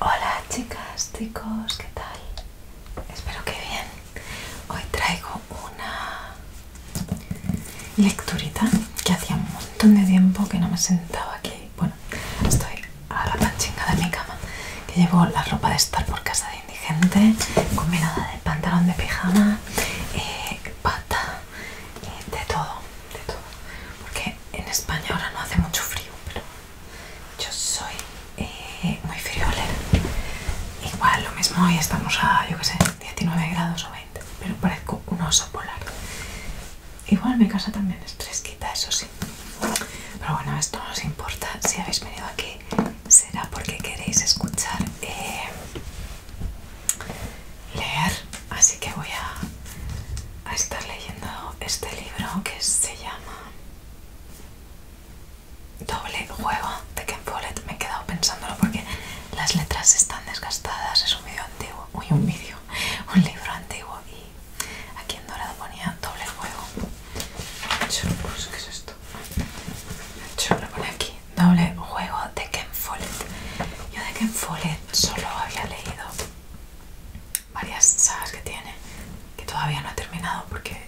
Hola chicas, chicos, ¿qué tal? Espero que bien. Hoy traigo una lecturita que hacía un montón de tiempo que no me sentaba aquí. Bueno, estoy a la panchinga de mi cama, que llevo la ropa de estar por casa de indigente, combinada de pantalón de pijama, eh, pata, Y eh, de todo, de todo. Porque en España ahora no hace mucho frío, pero yo soy eh, muy friolera. Igual, lo mismo hoy estamos a, yo qué sé, 19 grados o 20, pero parezco un oso polar. Igual mi casa también es fresquita, eso sí. Pero bueno, esto no os importa. Si habéis venido aquí, será porque queréis escuchar eh, leer. Así que voy a a estar leyendo este libro que se llama Doble Juego de Ken Follett. Me he quedado pensándolo porque las letras están desgastadas. Es un vídeo antiguo, muy un vídeo, un libro antiguo. Y aquí en dorado ponía Doble Juego. ¿Qué pues, es esto? lo pone aquí Doble Juego de Ken Follett. Yo de Ken Follett solo había leído varias sagas que tiene que todavía no ha terminado porque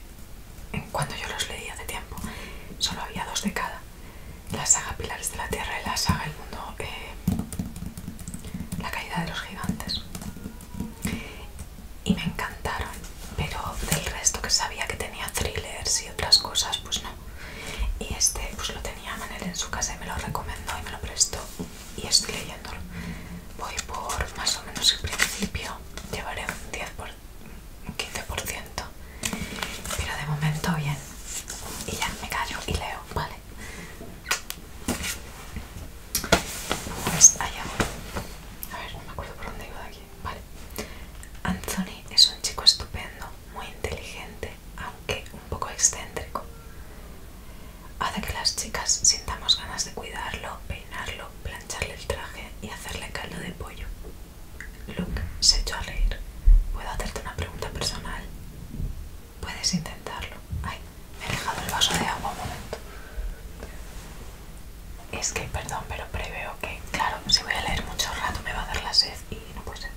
cuando yo los leía de tiempo solo había dos de cada la saga Pilares de la Tierra y la saga El Mundo eh, La Caída de los Gigantes y me encantaron pero del resto que sabía que tenía thrillers y otras cosas pues no y este pues lo tenía Manel en su casa y me lo recomendó y me lo prestó y estoy leyéndolo. Voy por más o menos el principio, llevaré un 10 por 15%, pero de momento bien. Y ya me callo y leo, ¿vale? Pues allá A ver, no me acuerdo por dónde iba de aquí. Vale. Anthony es un chico estupendo, muy inteligente, aunque un poco excéntrico hace que las chicas sintamos ganas de cuidarlo, peinarlo, plancharle el traje y hacerle caldo de pollo. Luke se echó a reír. ¿Puedo hacerte una pregunta personal? Puedes intentarlo. Ay, me he dejado el vaso de agua un momento. Es que, perdón, pero preveo que, claro, si voy a leer mucho rato me va a dar la sed y no puede ser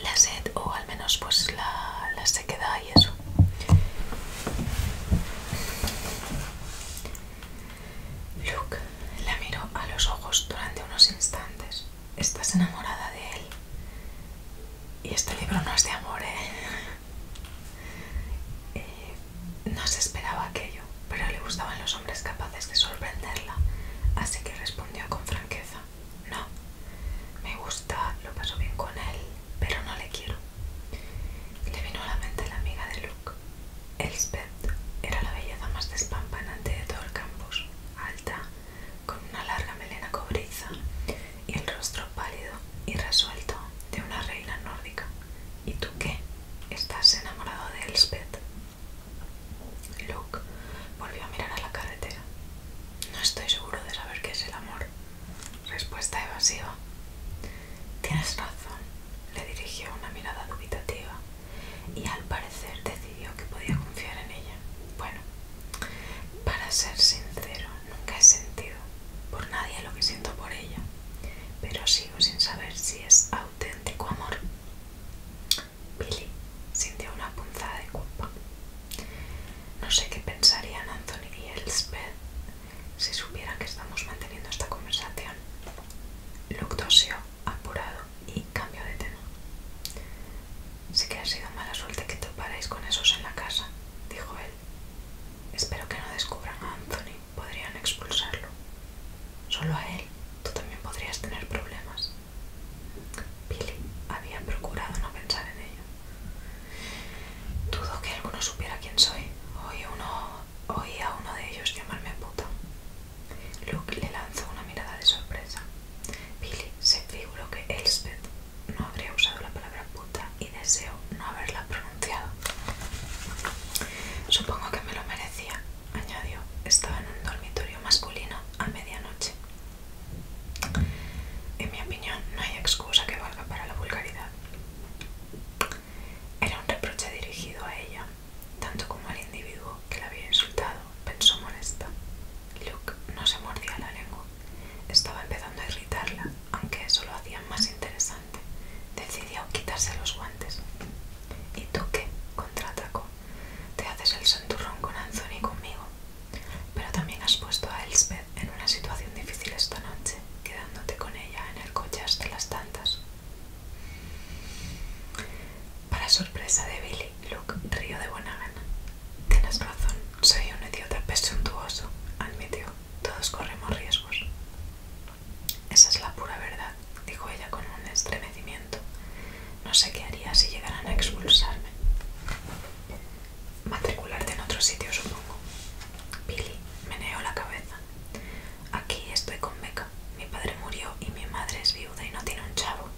la sed o al menos pues la, sequedad y eso Luke la miró a los ojos durante unos instantes estás enamorada de él y este libro no es de amor ¿eh? eh, no se esperaba aquello pero le gustaban los hombres capaces de sorprenderla así que respondió con franqueza no me gusta, lo paso bien con él pero no le quiero. Le vino a la mente la amiga de Luke. Elspeth era la belleza más despampanante de todo el campus, alta, con una larga melena cobriza y el rostro pálido y resuelto de una reina nórdica. ¿Y tú qué? ¿Estás enamorado de Elspeth? Luke volvió a mirar a la carretera. No estoy seguro de saber qué es el amor, Respuesta evasiva. Tienes razón, le dirigió una mirada dubitativa y al parecer decidió que podía confiar en ella. Bueno, para ser sincero, nunca he sentido por nadie lo que siento por ella, pero sigo sin saber si es auténtico amor. Billy sintió una punzada de culpa. No sé qué pensarían Anthony y Elspeth si supieran que estamos manteniendo esta conversación. Luke tosió, apurado y cambió de tema. Sí que ha sido mala suerte que topáis con esos en la casa, dijo él. Espero que no descubran a Anthony, podrían expulsarlo. Solo a él, tú también podrías tener problemas. Billy había procurado no pensar en ello. Dudo que alguno supiera quién soy. Hoy uno, oí a uno de ellos llamarme puta. Luke le lanzó una mirada de sorpresa. Billy se figuró que Elspeth no habría usado la palabra puta y deseó no haberla pronunciado. Supongo que me lo merecía, añadió. Estaba en un dormitorio masculino a medianoche. En mi opinión, no hay excusa que valga para la vulgaridad. Era un reproche dirigido a ella, tanto como al individuo que la había insultado, pensó molesta. Luke no se mordía la lengua. Estaba empezando a irritarla, aunque eso lo hacía más interesante. Decidió quitarse los guantes. ¿Y tú qué? contraatacó. Te haces el santurrón con Anthony conmigo. Pero también has puesto a Elspeth en una situación difícil esta noche, quedándote con ella en el coche hasta las tantas. Para sorpresa de Billy, Luke río de buena gana. Tienes razón, soy un idiota presuntuoso, admitió. Todos corremos riesgos. Esa es la pura verdad, dijo ella con un estremecimiento. No sé qué haría si llegaran a expulsarme matricularte en otro sitio, supongo. pili meneó la cabeza. Aquí estoy con Beca. Mi padre murió y mi madre es viuda y no tiene un chavo.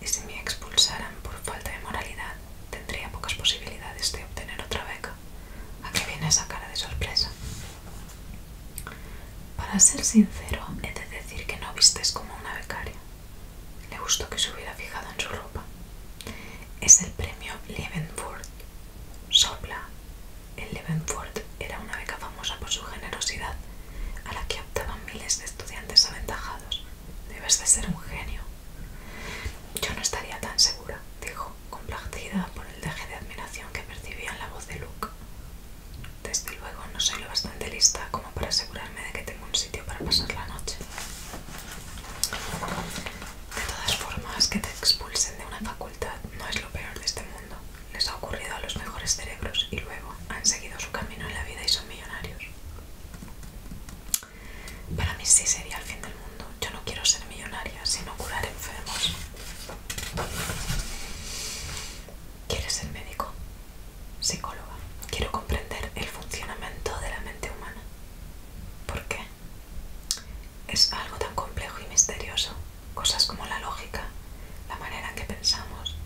Y si me expulsaran por falta de moralidad, tendría pocas posibilidades de obtener otra beca. ¿A qué viene esa cara de sorpresa? Para ser sincero, he de decir que no vistes como una becaria. Le gustó que se hubiera fijado en su ropa. Es el premio Leavenworth. Sopla. El Leavenworth era una beca famosa por su generosidad, a la que optaban miles de estudiantes aventajados. Debes de ser un genio. Yo no estaría tan segura, dijo, complacida por el deje de admiración que percibía en la voz de Luke. Desde luego no soy lo bastante lista como para asegurarme de que tengo un sitio para pasar la noche. De todas formas, que te expulsen de una facultad no es lo peor de este mundo. Les ha ocurrido a los mejores cerebros y luego han seguido su camino en la vida y son millonarios. Para mí sí sería el fin del mundo. Yo no quiero ser millonaria, sino curar enfermos. ¿Quieres ser médico? Psicóloga. Quiero comprender el funcionamiento de la mente humana. ¿Por qué? Es algo tan complejo y misterioso, cosas como la lógica, la manera en que pensamos,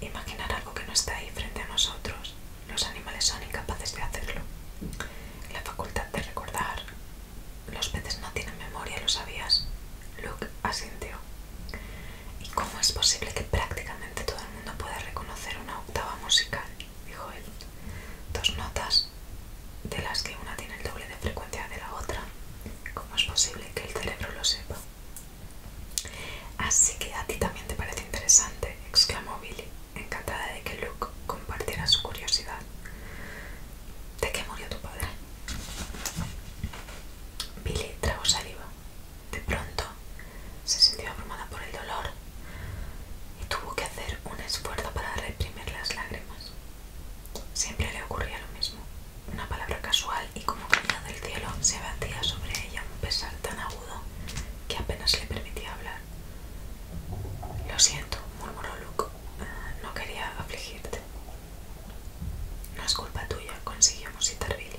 imaginar algo que no está ahí frente a nosotros. Los animales son incapaces de hacerlo. La facultad de recordar. Los peces no tienen memoria, ¿lo sabías? Luke asintió. ¿Y cómo es posible que prácticamente todo el mundo pueda reconocer una octava musical? dijo él. Dos notas de las que una tiene el doble de frecuencia de la otra. ¿Cómo es posible que el cerebro lo sepa? Así que a ti también te parece interesante, exclamó Billy, encantada de que Luke compartiera su curiosidad. ¿De qué murió tu padre? Billy tragó saliva. De pronto se sintió abrumada por el dolor y tuvo que hacer un esfuerzo para reprimir las lágrimas. Siempre le ocurría lo mismo. Una palabra casual y como caída del cielo se abatía sobre ella un pesar tan agudo que apenas le permitía hablar. Lo siento, murmuró Luke. Ah, no quería afligirte. No es culpa tuya, consiguió musitar Billy.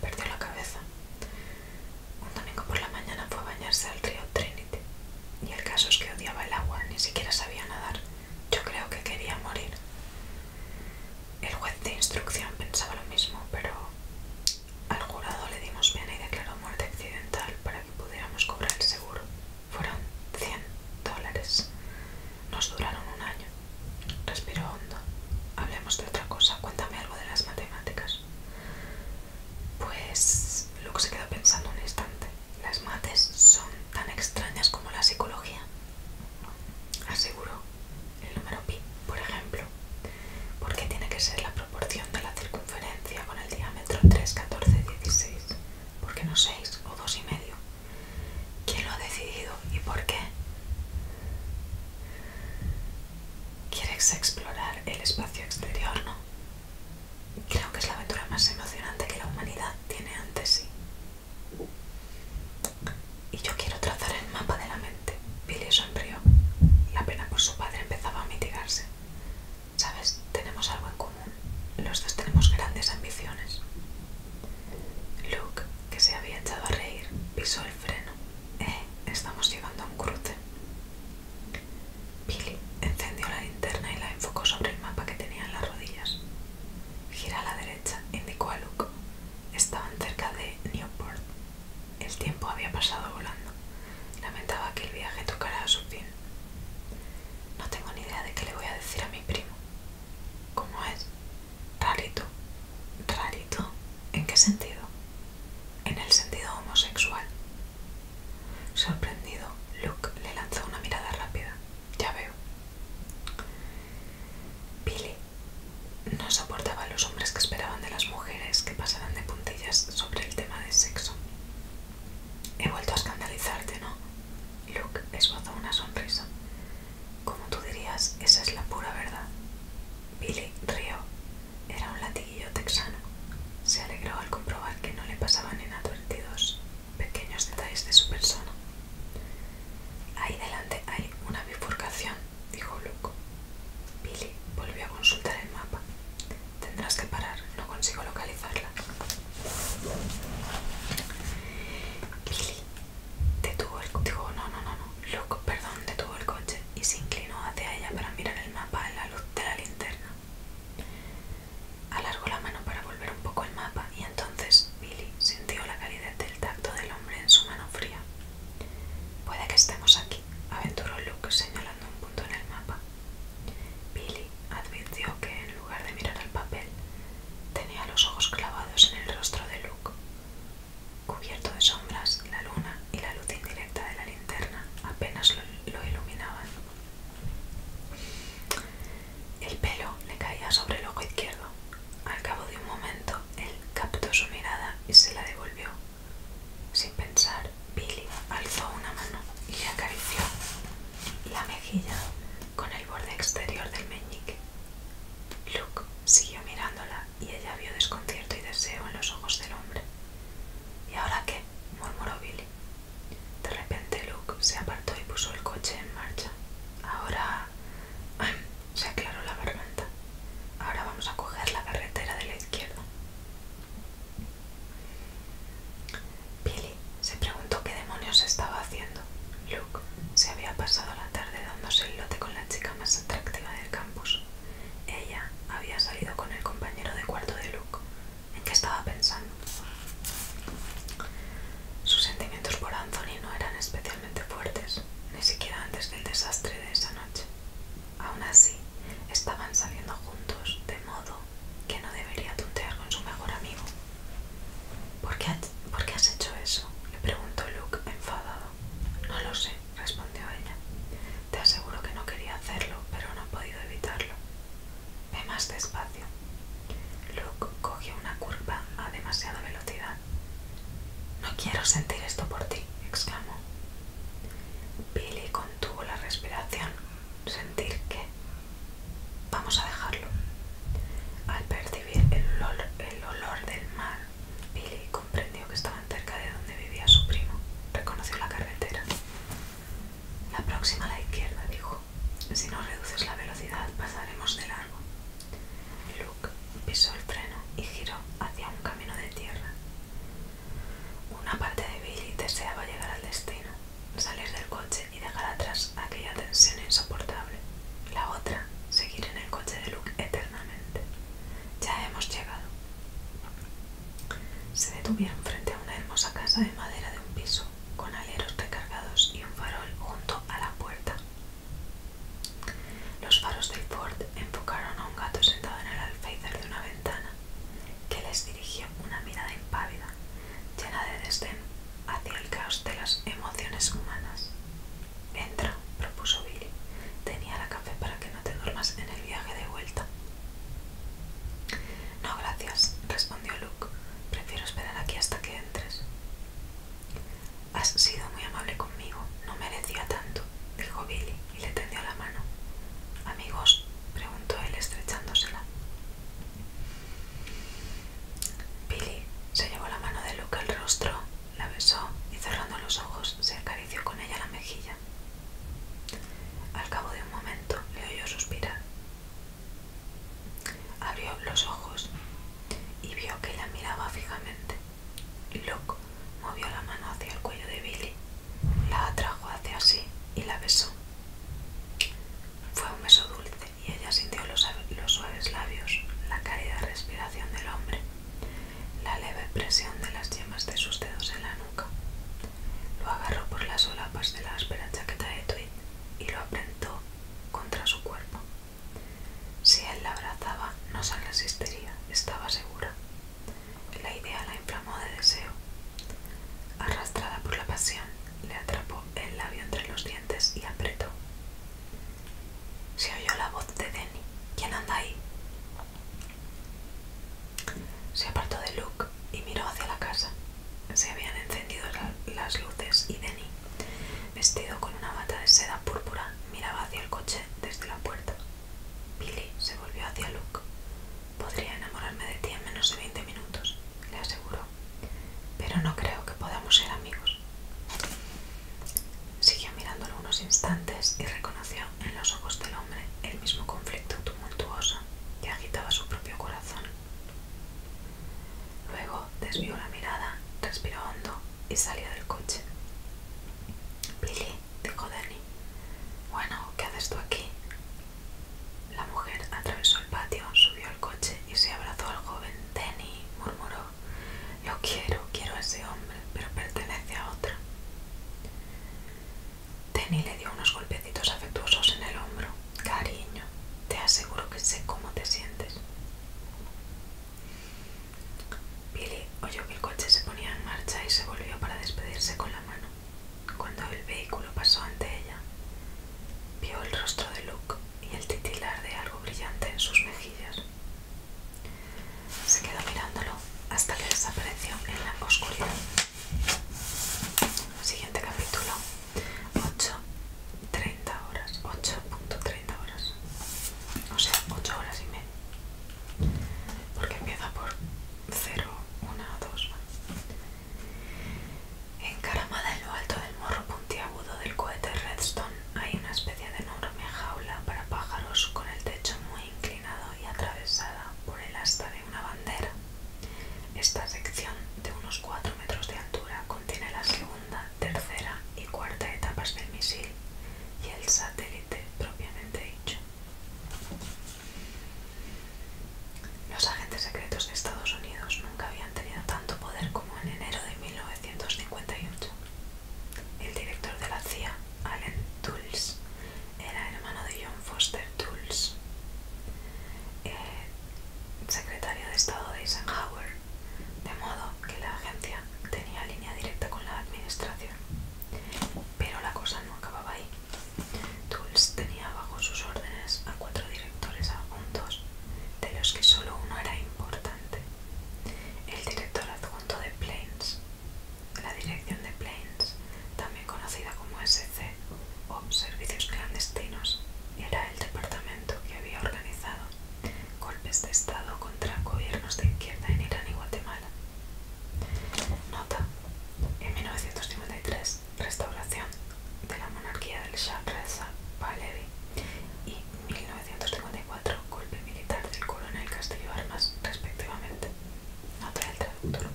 Perdió la cabeza. Un domingo por la mañana fue a bañarse al río Trinity, y el caso es que odiaba el agua, ni siquiera sabía nadar. Yo creo que quería morir. El juez de instrucción pensaba lo mismo, pero al jurado le dimos pena y declaró muerte accidental para que pudiéramos cobrar el seguro. Fueron 100 dólares. Nos duraron un año. Respiro hondo. Hablemos de otra cosa. Cuéntame algo de las matemáticas. Pues lo que se queda pensando un instante. Las mates son tan extrañas como la psicología. Aseguro el número pi, por ejemplo, ¿por qué tiene que ser la proporción de la circunferencia con el diámetro 3, 14, 16, qué no 6 o 2 y medio. ¿Quién lo ha decidido y por qué? ¿Quieres explorar el espacio exterior, no? Creo que es la aventura más emocionante que la humanidad tiene ante sí. Y yo quiero trazar el mapa de la mente. Billy sonrió. La pena por su padre empezaba a mitigarse. Sabes, tenemos algo en común. Los dos tenemos grandes ambiciones. Luke, que se había echado a reír, pisó el freno. Eh, estamos llegando a un cruce. Billy encendió la linterna y la enfocó sobre el mapa que tenía en las rodillas. Gira a la derecha, indicó a Luke. Estaban cerca de Newport. El tiempo había pasado volando. Lamentaba que el viaje tocara a su fin. No tengo ni idea de qué le voy a decir a mi primo. ¿Cómo es? Rarito. ¿Rarito? ¿En qué sentido? En el sentido homosexual. Sorprendido, Luke le lanzó una mirada rápida. Ya veo. Billy no soportaba los hombres que esperaban de las mujeres que pasaran de puntillas sobre el tema de sexo. He vuelto a escandalizarte, ¿no? Luke esbozó una sonrisa. Como tú dirías, esa es la pura verdad. Billy rió. Era un latín yo texano. Se alegró al comprobar que no le pasaban inadvertidos pequeños detalles de su persona. Ahí delante hay una bifurcación, dijo Loco. Billy volvió a consultar el mapa. Tendrás que parar, no consigo localizarla. Billy detuvo el no, no, no, no. loco perdón, detuvo el coche y se inclinó hacia ella para mirar el mapa en la luz de la linterna. Alargó la mano para volver un poco el mapa y entonces Billy sintió la calidez del tacto del hombre en su mano fría. Puede que estemos aquí, aventuró Luke señalando un punto en el mapa. Billy advirtió que en lugar de mirar al papel, tenía los ojos clavados en el rostro de Luke. Cubierto de sombras, la luna y la luz indirecta de la linterna apenas lo iluminaban. El pelo le caía sobre el ojo izquierdo. Al cabo de un momento, él captó su mirada y se la devolvió. Sin pensar, Billy alzó una mano y le acarició la mejilla con el borde exterior del meñique. Luke siguió mirándola y ella vio desconcierto y deseo en los ojos del hombre. ¿Y ahora qué? murmuró Billy. De repente Luke se apartó y puso el coche en marcha. Ahora... se aclaró la garganta. Ahora vamos a coger la carretera de la izquierda. Billy se preguntó qué demonios estaba haciendo. Luke se había pasado la tarde dándose el lote con la chica más atractiva del campus. Ella había salido con el compañero de cuarto de Luke, en qué estaba pensando. Sus sentimientos por Anthony no eran especialmente fuertes, ni siquiera antes del desastre de esa noche. Aún así, estaban saliendo juntos, de modo que no debería tutear con su mejor amigo. ¿Por qué, ¿Por qué has hecho eso? le preguntó Luke enfadado. No lo sé, respondió ella. Te aseguro que no quería hacerlo, pero no he podido evitarlo. Ve más despacio. Luke cogió una curva a demasiada velocidad. No quiero sentir esto por ti, exclamó. Billy contuvo la respiración. ¿Sentir qué? Vamos a dejarlo. Al percibir el olor, el olor del mar, Billy comprendió que estaban cerca de donde vivía su primo. Reconoció la carretera. La próxima a la izquierda, dijo. Si no reduces la velocidad, pasaremos de largo. Luke pisó el freno y giró hacia un camino de tierra. Una parte de Billy deseaba llegar al destino, salir del coche y dejar atrás aquella tensión insoportable. La otra, seguir en el coche de Luke eternamente. Ya hemos llegado. Se detuvieron frente a una hermosa casa de madera de un piso, con aleros recargados y un farol junto a la puerta. Los faros del Ford enfocaron a un gato sentado en el alféizar de una ventana, que les dirigió una mirada impávida, llena de desdén hacia el caos de las emociones humanas. Entra, propuso Billy. Tenía la café para que no te duermas en el viaje de vuelta. No, gracias, respondió Luke. Prefiero esperar aquí hasta que entres. Has sido muy amable conmigo, no merecía tanto, dijo Billy y le tendió la mano. Amigos, preguntó él estrechándosela. Billy se llevó la mano de Luke al rostro, la besó y cerrando los ojos se acarició con ella la mejilla. Al cabo de un momento le oyó suspirar Abrió los ojos y vio que la miraba fijamente. Loco, movió la mano hacia el cuello de Billy, la atrajo hacia sí y la besó. Fue un beso dulce y ella sintió los, suaves labios, la cálida respiración del hombre, la leve presión de las yemas de sus dedos en la nuca, lo agarró por las solapas de la áspera chaqueta de tweed y lo apretó contra su cuerpo. Si él la abrazaba, no se resistiría, estaba segura. La idea la inflamó de deseo. Arrastrada por la pasión, le atrapó el labio entre los dientes y apretó. Se oyó la voz de Denny. ¿Quién anda ahí? Se apartó de Luke y miró hacia la casa. Se habían encendido las luces y Denny, vestido con una bata de seda púrpura, miraba hacia el coche desde la puerta. Billy se volvió hacia Luke. Podría enamorarme de ti en menos de 20 minutos, le aseguró. Pero no creo que podamos ser amigos. Siguió mirándolo unos instantes y reconoció en los ojos del hombre el mismo conflicto tumultuoso que agitaba su propio corazón. Luego desvió la mirada, respiró hondo y salió del coche. Billy, dijo Danny. Bueno, ¿qué haces tú aquí? La mujer atravesó el patio, subió al coche y se abrazó al joven. Danny murmuró. yo quiero, quiero a ese hombre, pero pertenece a otra. Danny le dio unos golpecitos afectuosos en el hombro. Cariño, te aseguro que sé cómo te sientes. Billy oyó que el coche se ponía en marcha y se volvió para despedirse con la mano. Cuando el vehículo pasó ante ella, vio el rostro de Luke y el titilar de algo brillante en sus mejillas. Se quedó mirándolo hasta que desapareció en la oscuridad. Siguiente capítulo. 8, 30 horas, 8.30 horas, o sea, 8 horas y medio porque empieza por 0, 1, 2. Encaramada en lo alto del morro puntiagudo del cohete Redstone hay una especie de enorme jaula para pájaros con el techo muy inclinado y atravesada por el asta de una bandera. Esta sección de unos 4 metros de altura contiene la segunda, tercera y cuarta etapas del misil y el satélite propiamente dicho. Los agentes secretos de Estados Unidos nunca habían tenido tanto poder como en enero de 1958. El director de la CIA, Allen Dulles, era hermano de John Foster Dulles. Eh, secretario de Estado de Eisenhower, de modo que la agencia tenía línea directa con la administración. Pero la cosa no acababa ahí. Tools tenía bajo sus órdenes a cuatro directores adjuntos, de los que solo uno era importante. El director adjunto de Plains. La dirección de planes conocida como SC o Servicios Clandestinos, era el departamento que había organizado golpes de Estado contra gobiernos de izquierda en Irán y Guatemala. Nota. En 1953, restauración de la monarquía del Shah Reza Pahlavi y 1954, golpe militar del coronel Castillo Armas, respectivamente. Nota del traductor.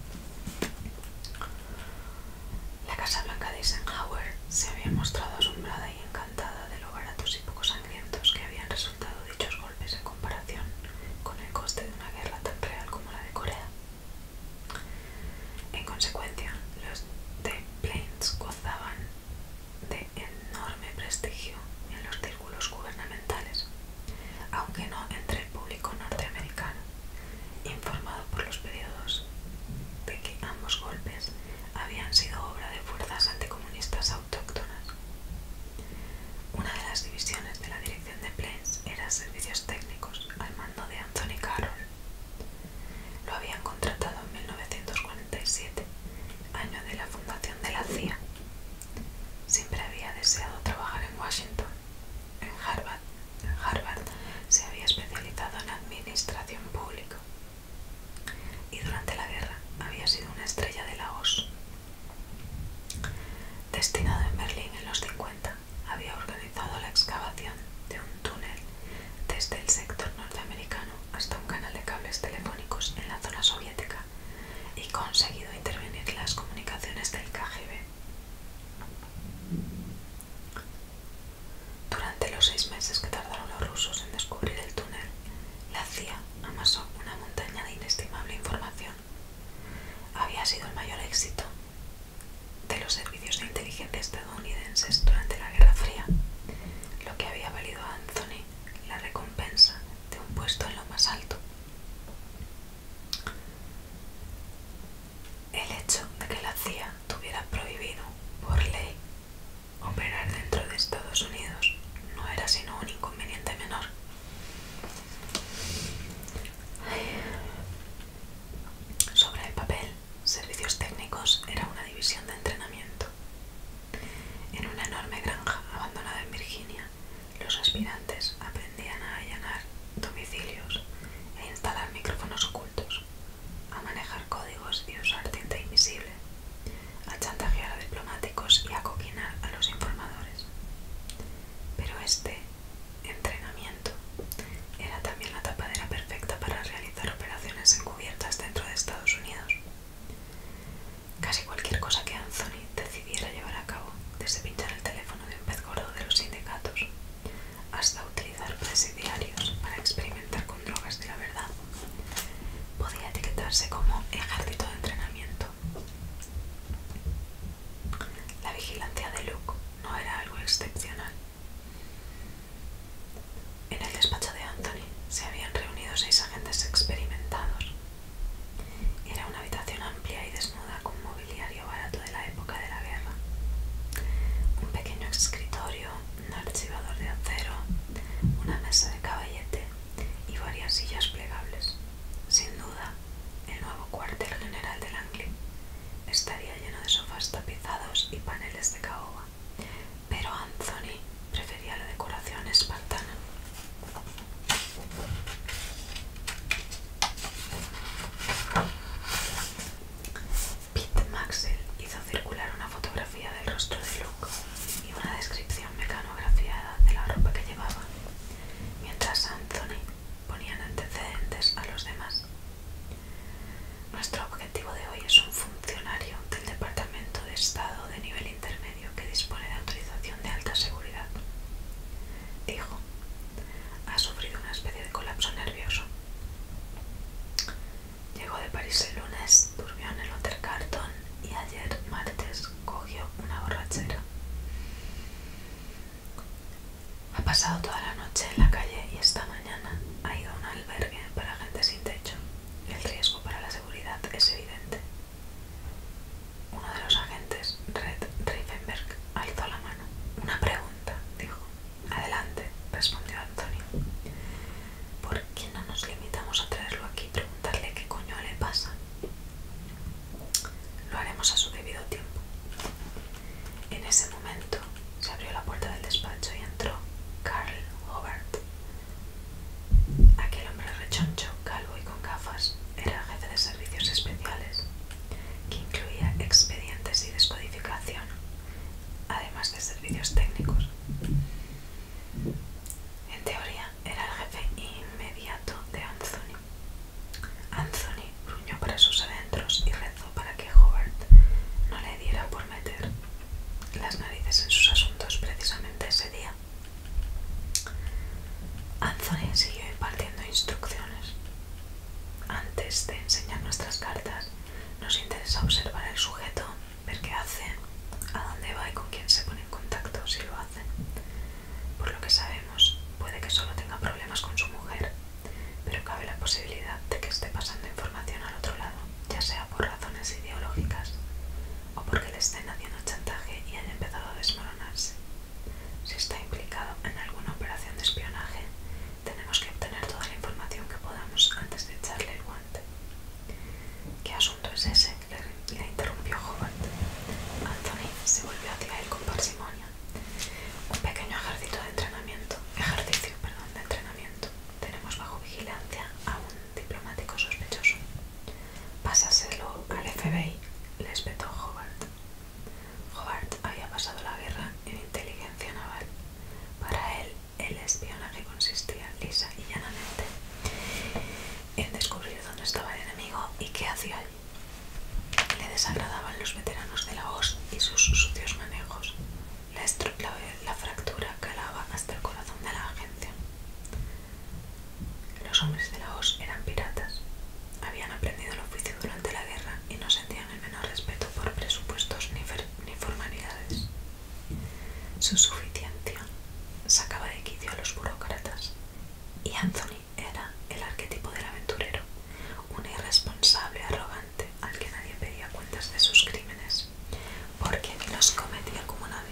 La Casa Blanca de Eisenhower se había mostrado asombrada y encantada de lo baratos y poco sangrientos que habían resultado dichos golpes en comparación con el coste de una guerra tan real como la de Corea. En consecuencia, los de Plains gozaban de enorme prestigio en los círculos gubernamentales, aunque no entre el público norteamericano informado por los periodos de que ambos golpes habían sido obra de fuerzas anticomunistas autóctonas. Una de las divisiones de la dirección de Plains era Servicios Técnicos, al mando de Anthony Carroll. Lo habían contratado en 1947, año de la fundación de la CIA. Siempre había deseado trabajar en Washington en Harvard, se había especializado en administración pública y durante la guerra había sido una estrella de la O.S. Destinado en Berlín en los 50, había organizado la excavación de un túnel desde el sector norteamericano hasta un canal de cables telefónicos en la zona soviética y conseguido intervenir las comunicaciones del KGB. Durante los seis meses que tardaron los rusos en descubrir el túnel, la CIA amasó una montaña de inestimable información. Había sido el mayor éxito de los servicios de inteligencia estadounidenses durante la Guerra Fría, lo que había valido a Anthony la recompensa de un puesto en lo más alto. El hecho de que la CIA tuviera prohibido, por ley, operar dentro de Estados Unidos no era sino un inconveniente menor. Sobre el papel, Servicios Técnicos era una división de entrenamiento. En una enorme granja abandonada en Virginia, los aspirantes aprendían a allanar domicilios e instalar micrófonos ocultos a manejar códigos y usar tinta invisible, a chantajear a diplomáticos y a coquinar a los informadores. Pero este entrenamiento era también la tapadera perfecta para realizar operaciones encubiertas dentro de Estados Unidos. Casi cualquier cosa que Anthony decidiera llevar a cabo, desde pinchar el teléfono de un pez gordo de los sindicatos hasta utilizar presidiarios para experimentar con drogas de la verdad, podía etiquetarse como ejército de entrenamiento. La vigilancia de Luke no era algo excepcional. En el despacho de Anthony se habían reunido seis agentes experimentados. Era una habitación amplia y desnuda con mobiliario barato de la época de la guerra. Un pequeño escritorio, un archivador de acero, una mesa de caballete y varias sillas plegables. Sin duda, el nuevo cuartel general de Langley estaría lleno de sofás tapizados y paneles de caoba, pero Anthony prefería la decoración espartana. Pete Maxwell hizo circular una fotografía del rostro de Luke y una descripción mecanografiada de la ropa que llevaba, mientras Anthony ponía antecedentes a los demás. Nuestro objetivo de hoy es un funcionario del Departamento de Estado de nivel intermedio que dispone de autorización de alta seguridad. Dijo, ha sufrido una especie de colapso nervioso. Llegó de París el lunes, durmió en el Hotel Carton y ayer, martes, cogió una borrachera. Ha pasado toda la noche en la calle y esta mañana ha ido a un albergue para gente sin techo. El riesgo para la seguridad es evidente. Uno de los agentes, Red Riefenberg, alzó la mano. Una pregunta, dijo. Adelante, respondió Antonio. ¿Por qué no nos limitamos a traerlo aquí y preguntarle qué coño le pasa? Lo haremos a su debido tiempo. En ese momento se abrió la puerta del despacho y entró Carl Hobart. Aquel hombre rechoncho, calvo y con gafas era jefe de servicios especiales, que incluía expedientes y descodificación además de servicios técnicos. En teoría, era el jefe inmediato de Anthony. Anthony gruñó para sus adentros y rezó para que Howard no le diera por meter las narices en sus asuntos precisamente ese día. Anthony siguió impartiendo instrucciones. Antes de enseñar nuestras cartas, nos interesa observar el sujeto, ver qué hace, a dónde va y con quién se pone en contacto si lo hace. Por lo que sabemos, puede que solo tenga problemas con su mujer, pero cabe la posibilidad de que esté pasando información al otro lado, ya sea por razones ideológicas o porque le estén haciendo chantaje y haya empezado a desmoronarse. Si está implicado en alguna operación de espionaje, tenemos que obtener toda la información que podamos antes de echarle el guante. ¿Qué asunto es ese? Le, interrumpió Hobart. Anthony se volvió hacia él con parsimonia. Un pequeño ejército de entrenamiento, ejercicio, perdón, de entrenamiento. Tenemos bajo vigilancia a un diplomático sospechoso. Pásaselo al FBI, le espetó Hobart. Hobart había pasado la guerra en inteligencia naval. Para él, el espionaje consistía lisa y llanamente en descubrir dónde estaba el enemigo y qué hacía allí. Le desagradaban los veteranos de la OS y sus sucios manejos. La, la fractura calaba hasta el corazón de la agencia. Los hombres de la OS eran piratas. Habían aprendido el oficio durante la guerra y no sentían el menor respeto por presupuestos ni, formalidades. Su suficiencia sacaba de quicio a los burócratas y Anthony era el arquetipo del aventurero, un irresponsable arrogante al que nadie pedía cuentas de sus crímenes, porque los cometía como nadie.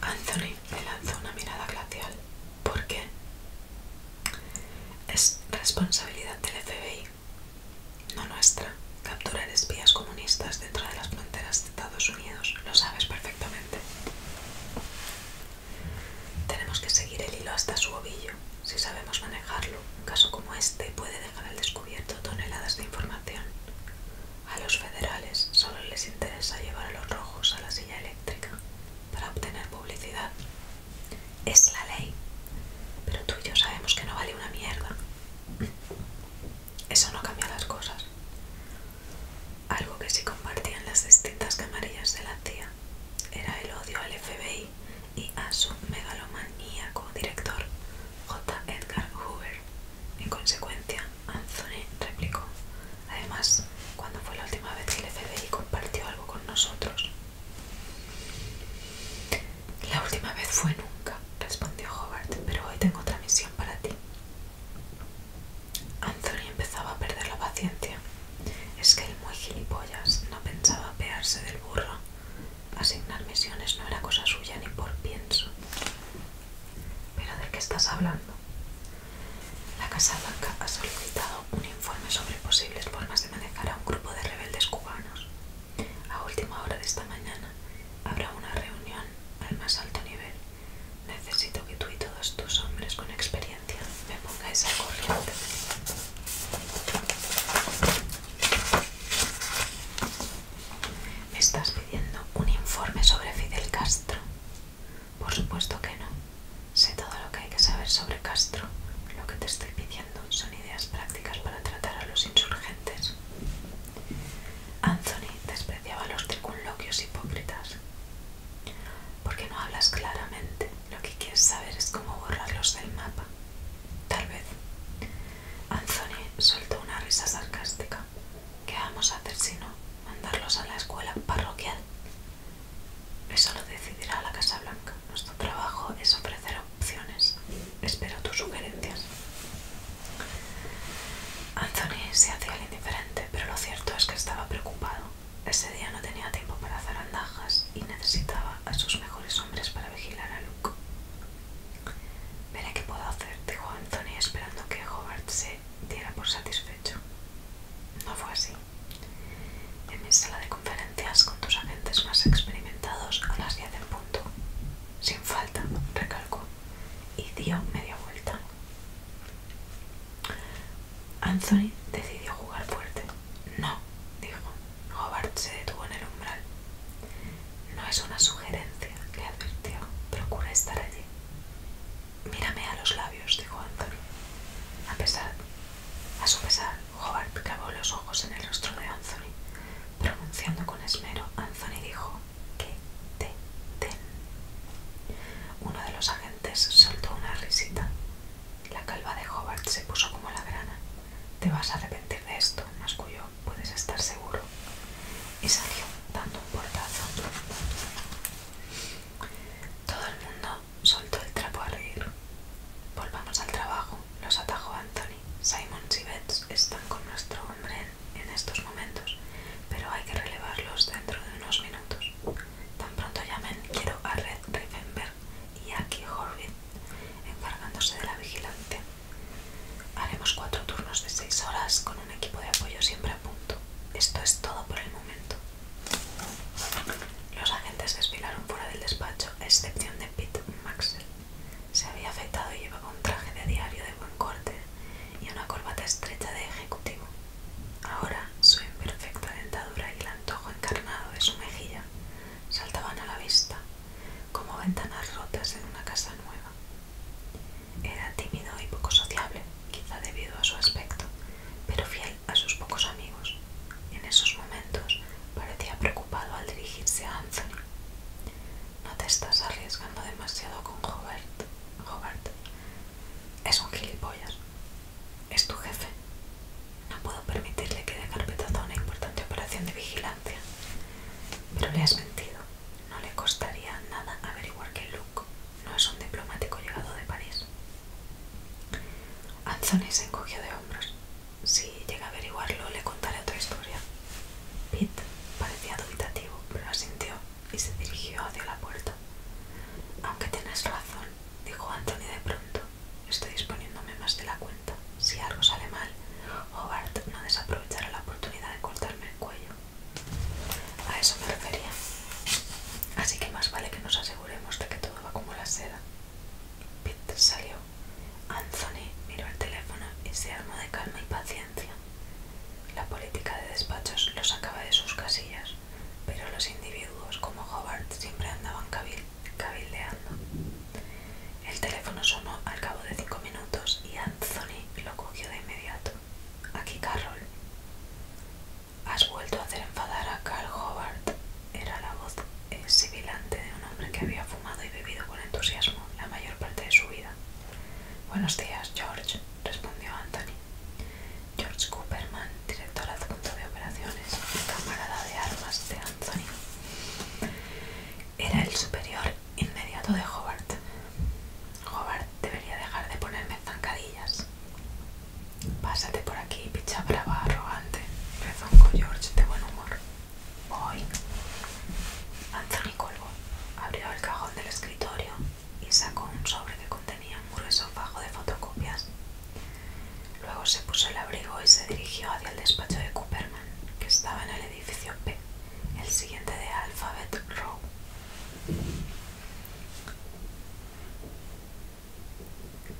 Anthony le lanzó una mirada glacial. ¿Por qué? Es responsabilidad del FBI, no nuestra, capturar espías comunistas dentro de las fronteras de Estados Unidos. Lo sabes perfectamente. Tenemos que seguir el hilo hasta su ovillo, si sabemos manejarlo. Un caso como este puede dejar al descubierto toneladas de información. A los federales solo les interesa llevar a los rojos a la silla eléctrica para obtener publicidad. Es la ley, pero tú y yo sabemos que no vale una mierda. Eso no cambia las cosas. Algo que sí compartían las distintas camarillas de la CIA era el odio al FBI y a su megalomaníaco director J. Edgar Hoover. En consecuencia, Anthony replicó, además, ¿cuándo fue la última vez que el FBI compartió algo con nosotros? La última vez fue nunca, respondió Hobart, pero hoy tengo otra misión para ti. Anthony empezaba a perder la paciencia. Es que el muy gilipollas no pensaba apearse del burro. Asignar misiones no era cosa suya ni por pienso. ¿Pero de qué estás hablando? La Casa Blanca ha solicitado un informe sobre posibles formas de manejar a un grupo de rebeldes cubanos. A última hora de esta mañana habrá una reunión al más alto nivel. Necesito que tú y todos tus hombres con experiencia me ponga esa corriente. ¿Me estás pidiendo un informe sobre Fidel Castro? Por supuesto que no. Sé todo lo que hay que saber sobre Castro. Lo que te estoy pidiendo son ideas prácticas para tratar a los insurgentes. Anthony despreciaba los circunloquios hipócritas. ¿Por qué no hablas claramente? lo que quieres saber es cómo borrarlos del mapa. Tal vez. Anthony soltó una risa sarcástica. ¿Qué vamos a hacer si no? ¿Mandarlos a la escuela parroquial? Eso lo decidirá la Casa Blanca. Nuestro trabajo es ofrecer opciones. Espero tus sugerencias. Anthony se hacía el indiferente, pero lo cierto es que estaba preocupado ese día no tenía tiempo para hacer andajas y necesitaba a sus mejores hombres para vigilar a Luke. Veré qué puedo hacer, dijo Anthony esperando que Hobart se diera por satisfecho. No fue así. En mi sala de conferencias con tus agentes más experimentados a las 10 en punto. Sin falta, recalcó, y dio media vuelta. Anthony decidió jugar fuerte. No, dijo. Hobart se detuvo en el umbral. No es una sugerencia, le advirtió. Procura estar allí. Mírame a los labios, dijo Anthony. A pesar, a su pesar, Hobart clavó los ojos en el rostro de Anthony. Pronunciando con esmero, Anthony dijo que te den. Uno de los agentes soltó una risita. La calva de Hobart se puso como la grana. Te vas a arrepentir de esto, cuyo Puedes estar seguro. Y salió dando un portazo. Todo el mundo soltó el trapo a reír. Volvamos al trabajo, los atajó Anthony. Simon y Betts están con nuestro hombre en, estos momentos, pero hay que relevarlos dentro de unos minutos. Tan pronto llamen, quiero a Red Riffenberg y aquí Horvitz encargándose de la vigilante. Haremos cuatro turnos de seis horas con un equipo de apoyo siempre a punto. Esto es todo por el momento. Los agentes desfilaron fuera del despacho, a excepción de Pete Maxwell. Se había afectado y llevaba un traje de diario de buen corte y una corbata estrecha de ejecutivo. Ahora, su imperfecta dentadura y el antojo encarnado de su mejilla saltaban a la vista como ventanas rotas en una casa nueva. Era tímido y poco sociable, quizá debido a su aspecto, pero fiel a sus pocos amigos. En esos momentos parecía preocupado al dirigirse a Anthony. No te estás arriesgando demasiado con Robert. Robert es un gilipollas, es tu jefe. No puedo permitirle que dé carpetazo a una importante operación de vigilancia. Pero le has mentido. No le costaría nada averiguar que Luke no es un diplomático llegado de París. Anthony se encogió de hombros. Si llega a averiguarlo, le contaré otra historia. Pete parecía dubitativo, pero asintió y se dirigió hacia la puerta. Aunque tienes razón, dijo Anthony de pronto. Estoy disponiéndome más de la cuenta. Si algo sale mal, Hobart no desaprovechará la oportunidad de cortarme el cuello. A eso me refería. Así que más vale que nos aseguremos de que todo va como la seda. Pete salió. Anthony miró el teléfono y se armó de calma y paciencia. La política de despachos los sacaba de sus casillas, pero los individuos como Hobart siempre andaban cabildos cabildeando. El teléfono sonó al cabo de cinco minutos y Anthony lo cogió de inmediato. Aquí, Carroll. Has vuelto a hacer enfadar a Carl Hobart. Era la voz sibilante de un hombre que había fumado y bebido con entusiasmo la mayor parte de su vida. Buenos días, George, respondió Anthony. George Cooperman, director adjunto de operaciones y camarada de armas de Anthony. Era el superior inmediato de Hobart. Hobart debería dejar de ponerme zancadillas. Pásate por aquí, picha brava, arrogante, con George de buen humor. Hoy. Anthony colgó, abrió el cajón del escritorio y sacó un sobre que contenía un grueso fajo de fotocopias Luego se puso el abrigo y se dirigió hacia el despacho de Cooperman, que estaba en el edificio P, el siguiente de Alphabet Row.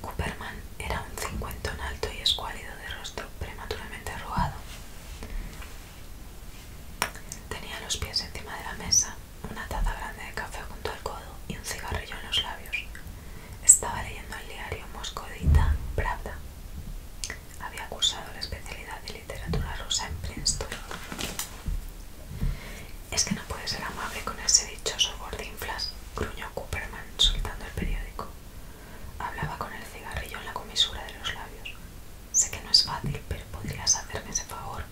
Cooperman era un cincuentón alto y escuálido de rostro prematuramente arrugado. Tenía los pies encima de la mesa, una taza grande de café junto al codo y un cigarrillo en los labios. Estaba leyendo el diario Moscodita Pravda. Había cursado la especialidad de literatura rusa en Princeton. Es que no puede ser amable con ese dichoso gordinflas, gruñó Cooperman soltando el periódico. Hablaba con el cigarrillo en la comisura de los labios. Sé que no es fácil, pero podrías hacerme ese favor.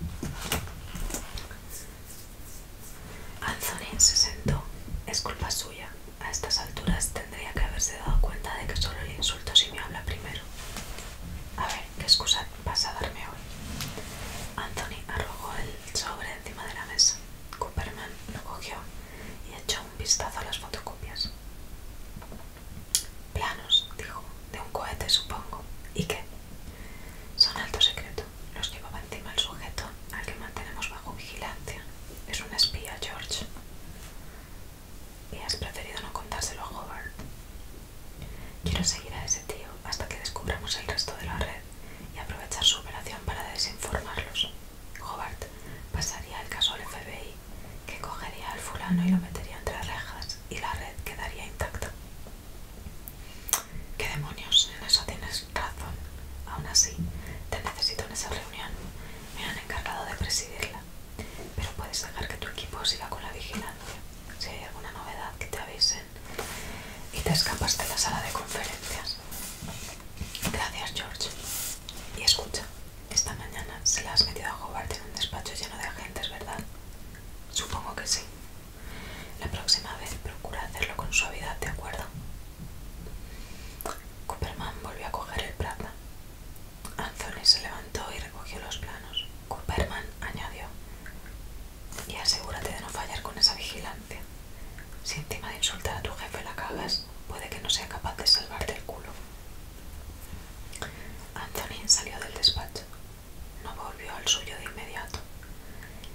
Anthony se sentó. Es culpa suya. A estas alturas tendría que haberse dado cuenta de que solo le insulto si me habla primero. A ver, ¿qué excusa vas a darme hoy? Anthony arrojó el sobre encima de la mesa. Cooperman lo cogió y echó un vistazo a las fotocopias. Planos, dijo, de un cohete supongo. ¿Y qué? Son alto secreto. Los llevaba encima el sujeto al que mantenemos bajo vigilancia. Es un espía, George. Y has preferido no contárselo a Hobart. Quiero seguir a ese tío hasta que descubramos el resto de la red y aprovechar su operación para desinformarlos. Hobart pasaría el caso al FBI, que cogería al fulano y lo metería entre rejas y la red quedaría intacta. ¿Qué demonios? En eso tienes razón. Aún así, te necesito en esa reunión. Me han encargado de presidirla. Pero puedes dejar que tu equipo siga con la vigilancia. Si hay alguna novedad, que te avisen. Y te escapas de la sala de conferencias. Gracias, George. Y escucha, esta mañana se la has metido a Hobart en un despacho lleno de agentes, ¿verdad? Supongo que sí. La próxima vez procura hacerlo con suavidad, ¿de acuerdo? Cooperman volvió a coger el plata. Anthony se levantó y recogió los planos. Cooperman añadió: Y asegúrate de no fallar con esa vigilancia. Si encima de insultar a tu jefe la cagas, puede que no sea capaz de salvarte el culo. Anthony salió del despacho. No volvió al suyo de inmediato.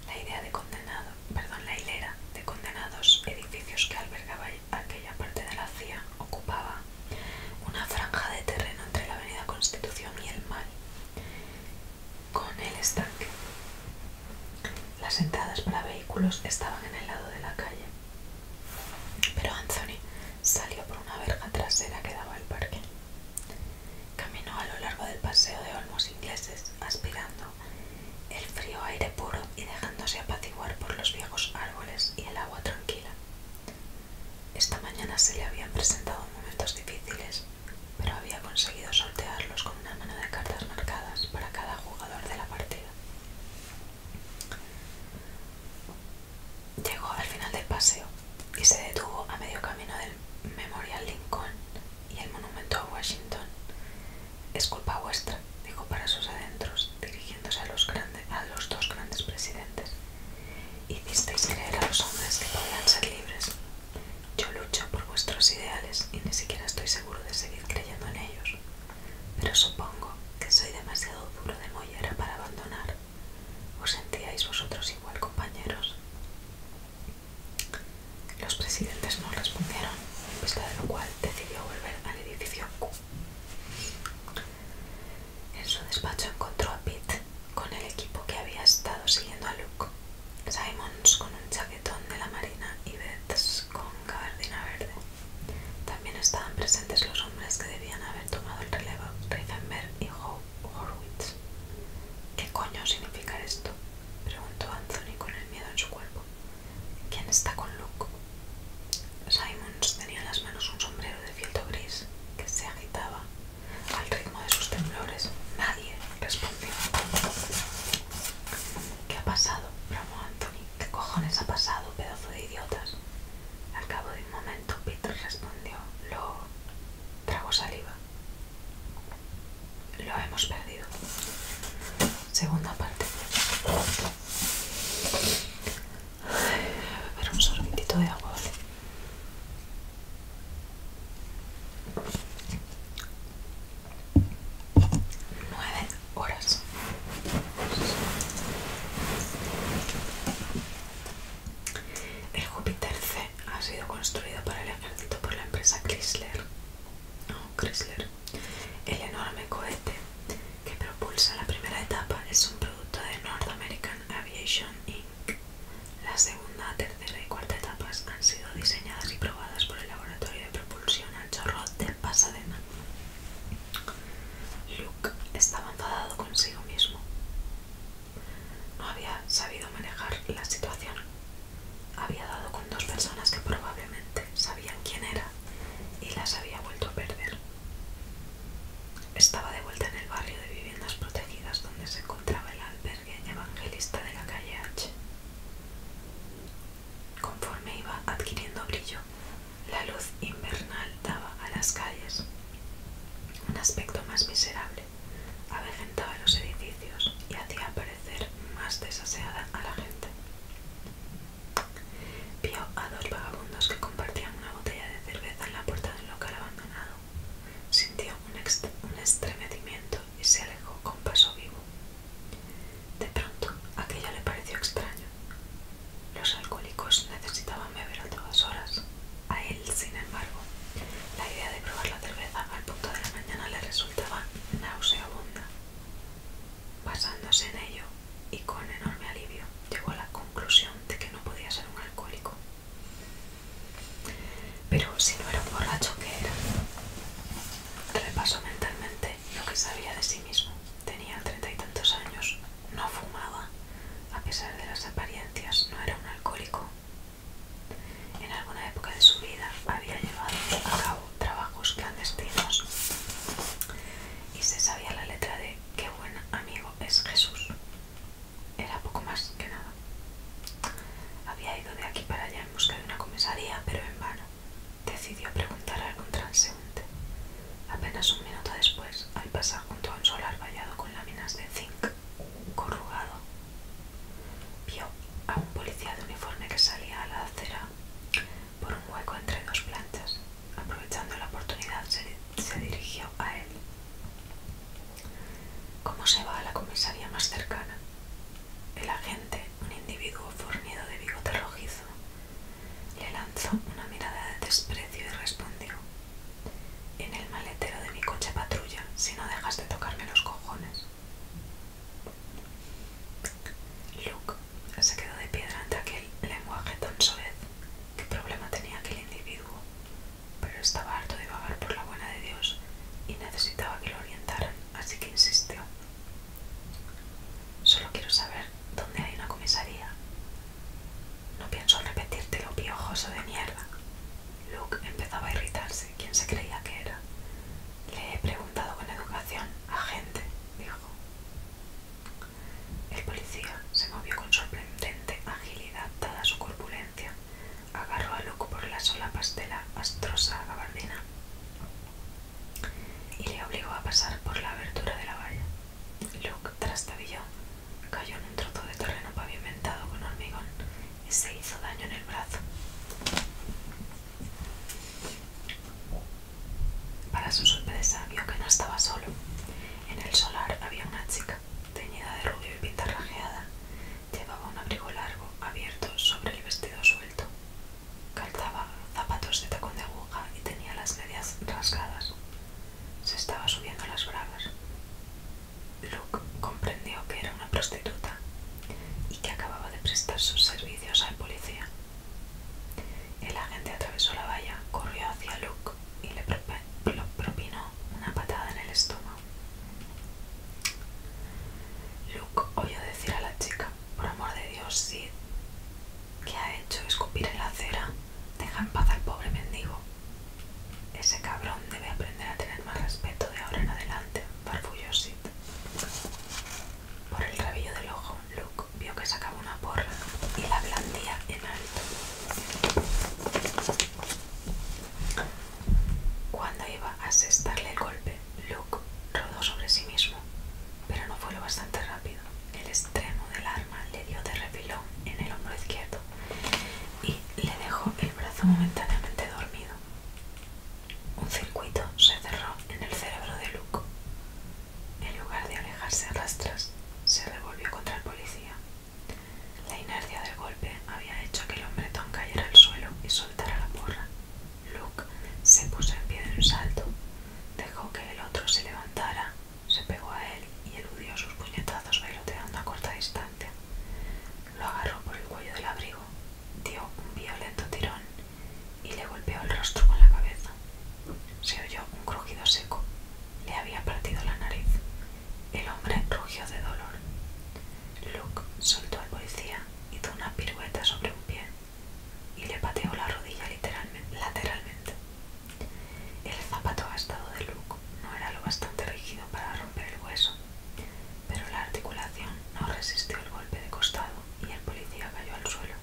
La idea de condenado perdón, la hilera de condenados edificios que albergaba aquella parte de la CIA ocupaba una franja de terreno entre la avenida Constitución y el mar con el estanque. Las entradas para vehículos estaban en el lado de la calle, pero Anthony salió por una verja trasera que daba al parque. Caminó a lo largo del paseo de olmos ingleses, aspirando el frío aire puro y dejándose apaciguar por los viejos árboles y el agua tranquila. Esta mañana se le habían presentado momentos difíciles, pero había conseguido sortearlos con una mano de cartas marcadas para cada jugador de la partida. Llegó al final del paseo y se detuvo a medio camino del Memorial Lincoln y el Monumento a Washington es culpa vuestra, dijo para sus adentros, dirigiéndose a los, grandes, a los dos grandes presidentes. Hicisteis creer a los hombres que podían ser libres. Yo lucho por vuestros ideales y ni siquiera estoy seguro de seguir creyendo en ellos. Pero supongo que soy demasiado duro de mollera para abandonar. ¿Os sentíais vosotros igual, compañeros? Los presidentes no respondieron en pues de lo cual decidió volver al edificio Q. En su despacho encontró a Pete con el equipo que había estado siguiendo a Luke, Simons con un chaquetón de la marina y Betts con gabardina verde. También estaban presentes los hombres que debían haber tomado el relevo, Riefenberg y Horwitz. ¿Qué coño significa esto? preguntó Anthony con el miedo en su cuerpo. ¿Quién está con Luke? Simons tenía en las manos un sombrero de fieltro gris que se agitaba al ritmo de sus temblores. Nadie respondió. ¿Qué ha pasado? bramó Anthony. ¿Qué cojones ha pasado, pedazo de idiotas? Al cabo de un momento, Peter respondió. Lo... trago saliva. Lo hemos perdido segunda parte. a beber un sorbitito de agua, ¿vale? Nueve horas. El Júpiter C ha sido construido para el ejército por la empresa Chrysler. No, Chrysler el enorme cohete que propulsa la primera etapa es un producto de North American Aviation Inc. La segunda, tercera y cuarta etapas han sido diseñadas y probadas por el laboratorio de propulsión al chorro de Pasadena. Luke estaba enfadado consigo mismo. No había sabido manejar la situación. Había dado con dos personas que probablemente sabían quién era y las había vuelto a perder. Estaba de vuelta en el barrio de viviendas protegidas donde se encontraba el albergue evangelista de la calle H. Conforme iba adquiriendo brillo, la luz invernal daba a las calles un aspecto más miserable, avejentaba los edificios y hacía parecer más desaseada a la gente. Vio a dos vagabundos que compartían una botella de cerveza en la puerta de local abandonado. Sintió un, estremecimiento y se alejó con paso vivo. De pronto, aquello le pareció extraño. Los alcohólicos necesitaban beber a todas horas. A él, sin embargo, la idea de probar la cerveza al punto de la mañana le resultaba nauseabunda. Basándose en ello y con enorme alivio, llegó a la conclusión de que no podía ser un alcohólico. Pero si no era un borracho, ¿qué era? Repasó mentalmente lo que sabía de sí mismo. Tenía treinta y tantos años, no fumaba, a pesar de las apariencias, no era un alcohólico. En alguna época de su vida había llevado a cabo trabajos clandestinos y se sabía la letra de qué buen amigo es Jesús. Era poco más que nada. Había ido de aquí para allá en busca de una comisaría, pero en vano. Decidió preguntar a algún transeúnte. Apenas un minuto después, al pasar junto a un solar vallado con láminas de zinc corrugado, vio a un policía de uniforme que salía a la acera por un hueco entre dos plantas Aprovechando la oportunidad, se, dirigió a él. ¿Cómo se va a la comisaría más cercana? El agente, un individuo fornido de bigote rojizo, le lanzó una mirada de desprecio y respondió: En el maletero de mi coche patrulla, si no dejas de tocarme los cojones. Luke se quedó de piedra ante aquel lenguaje tan soez. ¿Qué problema tenía aquel individuo? Pero estaba harto de vagar por la buena de Dios y necesitaba que lo orientaran, así que insistió. Solo quiero saber dónde hay una comisaría. No pienso repetirte lo piojoso de mierda. Luke empezaba a irritarse. ¿Quién se creía que era? Le he preguntado con educación. a gente, dijo. El policía se movió con sorprendente agilidad dada su corpulencia. Agarró a Luke por la sola pastela astrosa gabardina y le obligó a pasar por la abertura de la valla. Luke trastabilló, cayó en un trozo de terreno pavimentado con hormigón y se hizo daño en el brazo. Para su sorpresa vio que no estaba solo. En el solar había una chica, teñida de rubio y pintarrajeada. Llevaba un abrigo largo, abierto sobre el vestido suelto. Calzaba zapatos de tacón de aguja y tenía las medias rasgadas. Se estaba subiendo las bragas. Luke comprendió que era una prostituta y que acababa de prestar sus servicios al policía. El agente atravesó la valla, corrió hacia Luke y le propinó una patada en el estómago. Luke oyó decir a la chica, por amor de Dios, Sid, ¿qué ha hecho escupir en la acera? Deja en paz al pobre mendigo. Ese cabrón debe aprender a tener más respeto de ahora en adelante, farfulló Sid. Por el rabillo del ojo, Luke vio que sacaba una porra y la blandía en alto. Cuando iba a asestarle el golpe, Luke rodó sobre sí mismo, pero no fue lo bastante rápido. El extremo del arma le dio de repilón en el hombro izquierdo y le dejó el brazo momentáneamente dormido. Un circuito se cerró en el cerebro de Luke. En lugar de alejarse a rastras, se revolvió contra el policía. La inercia del golpe había hecho que el hombretón cayera al suelo y soltara la porra. Luke se puso en pie de un salto, dejó que el otro se levantara, se pegó a él y eludió sus puñetazos baloteando a corta distancia. Lo agarró por el cuello del abrigo, dio un violento tirón y le golpeó el rostro con la cabeza. Se oyó un crujido seco. Le había partido la nariz. El hombre rugió de dolor. Luke soltó al policía, hizo una pirueta sobre un pie y le pateó la rodilla literalmente, lateralmente. El zapato gastado de Luke no era lo bastante rígido para romper el hueso, pero la articulación no resistió el golpe de costado y el policía cayó al suelo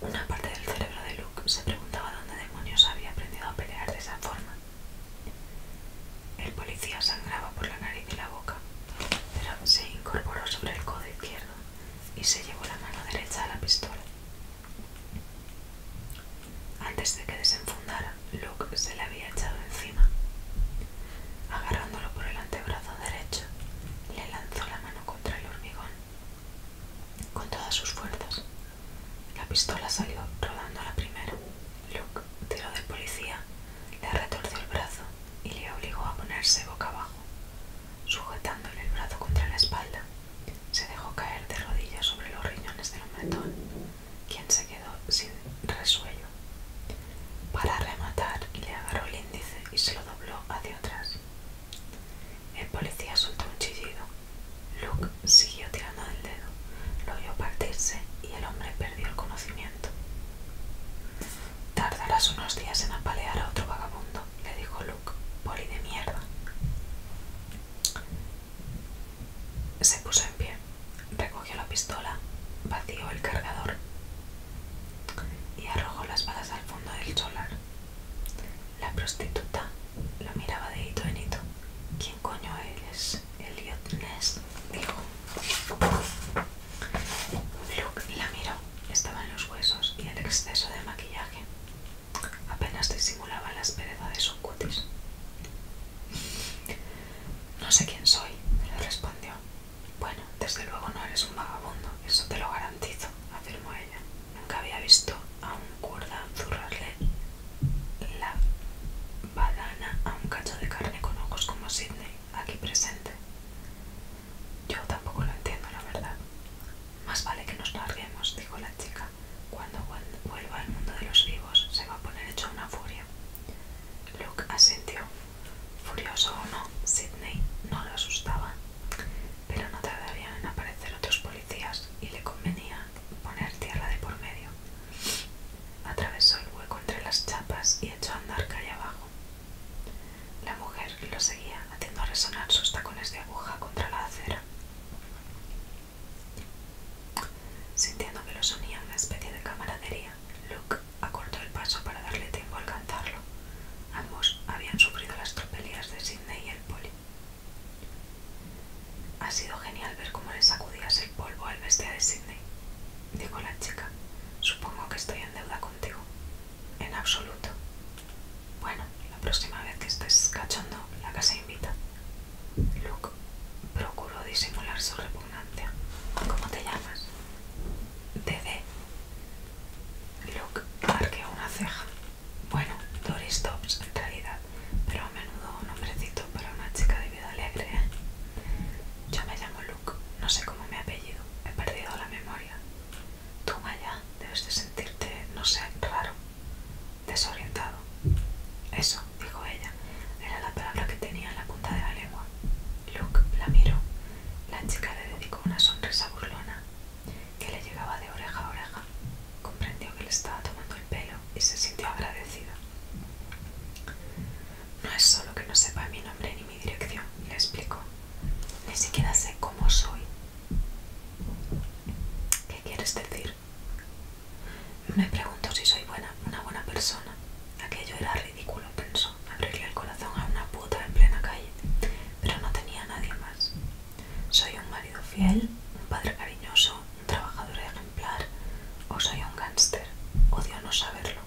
una parte del cerebro de Luke se preguntaba dónde demonios había aprendido a pelear de esa forma. El policía sangraba por la nariz y la boca, pero se incorporó sobre el codo izquierdo y se llevó la mano derecha a la pistola. Antes de que desenfundara, Luke se le había echado encima. Agarrándolo por el antebrazo derecho, le lanzó la mano contra el hormigón con todas sus fuerzas. La pistola salió rodando a la primera. Luke tiró del policía, le retorció el brazo y le obligó a ponerse boca abajo. Sujetándole el brazo contra la espalda, se dejó caer de rodillas sobre los riñones del hombretón, quien se quedó sin resuello. Para rematar, le agarró el índice y se lo dobló hacia atrás. El policía soltó un chillido. Luke siguió tirando del dedo, lo oyó partirse y el hombre perdió el conocimiento. Tardarás unos días en apalear a otro vagabundo, le dijo Luke, poli de mierda. Se puso en pie, recogió la pistola, vació el cargador y arrojó las balas al fondo del solar. La prostituta lo miraba de hito en hito. ¿Quién coño eres? Elliot Ness dijo. Luke la miró. en los huesos y el exceso de maquillaje. Apenas disimulaba la aspereza de su cutis. No sé quién soy, le respondió. Bueno, desde luego no eres un vagabundo, eso te lo garantizo, afirmó ella. Nunca había visto a un cuerda zurrarle la badana a un cacho de carne con ojos como Sidney, aquí presente. Yo tampoco lo entiendo, la verdad. Más vale que nos larguemos, dijo la chica. Cuando vuelva al mundo de los vivos, se va a poner hecho una furia. Luke asintió. Furioso o no, Sidney no lo asustaba pero no tardarían en aparecer otros policías y le convenía poner tierra de por medio. Atravesó el hueco entre las chapas y echó a andar calle abajo. La mujer lo seguía, haciendo resonar sus tacones de aguja contra la acera, sintiendo que lo sonía una especie de camaradería. Luke acortó el paso para darle tiempo a alcanzarlo. Ambos habían sufrido las tropelías de sí Sidney y el poli. Ha sido genial ver cómo le sacudías el polvo al bestia de Sidney, dijo la chica. Supongo que estoy en deuda contigo. En absoluto. Bueno, la próxima vez que estés cachondo, la casa invita. Luke procuró disimular su repugnancia. ¿Cómo te llamas? Dede. Luke arqueó una ceja. Bueno, Doris Dobbs, en realidad, pero a menudo un hombrecito para una chica de vida alegre. ¿eh? Yo me llamo Luke, no sé cómo me apellido, he perdido la memoria. Tú, Maya, debes de sentirte, no sé, raro, desorientado. Eso, dijo ella, era la palabra que tenía en la punta de la lengua. Luke la miró. La chica le dedicó una sonrisa burlona que le llegaba de oreja a oreja, comprendió que le estaba tomando el pelo y se sintió agradecida. No es solo que no sepa mi nombre ni mi dirección, le explicó. Ni siquiera sé cómo soy. ¿Qué quieres decir? Me pregunto si soy buena, una buena persona. Aquello era ridículo, pensó, abrirle el corazón a una puta en plena calle, pero no tenía nadie más. Soy un marido fiel, un padre cariñoso, un trabajador ejemplar o soy un gángster. Odio no saberlo.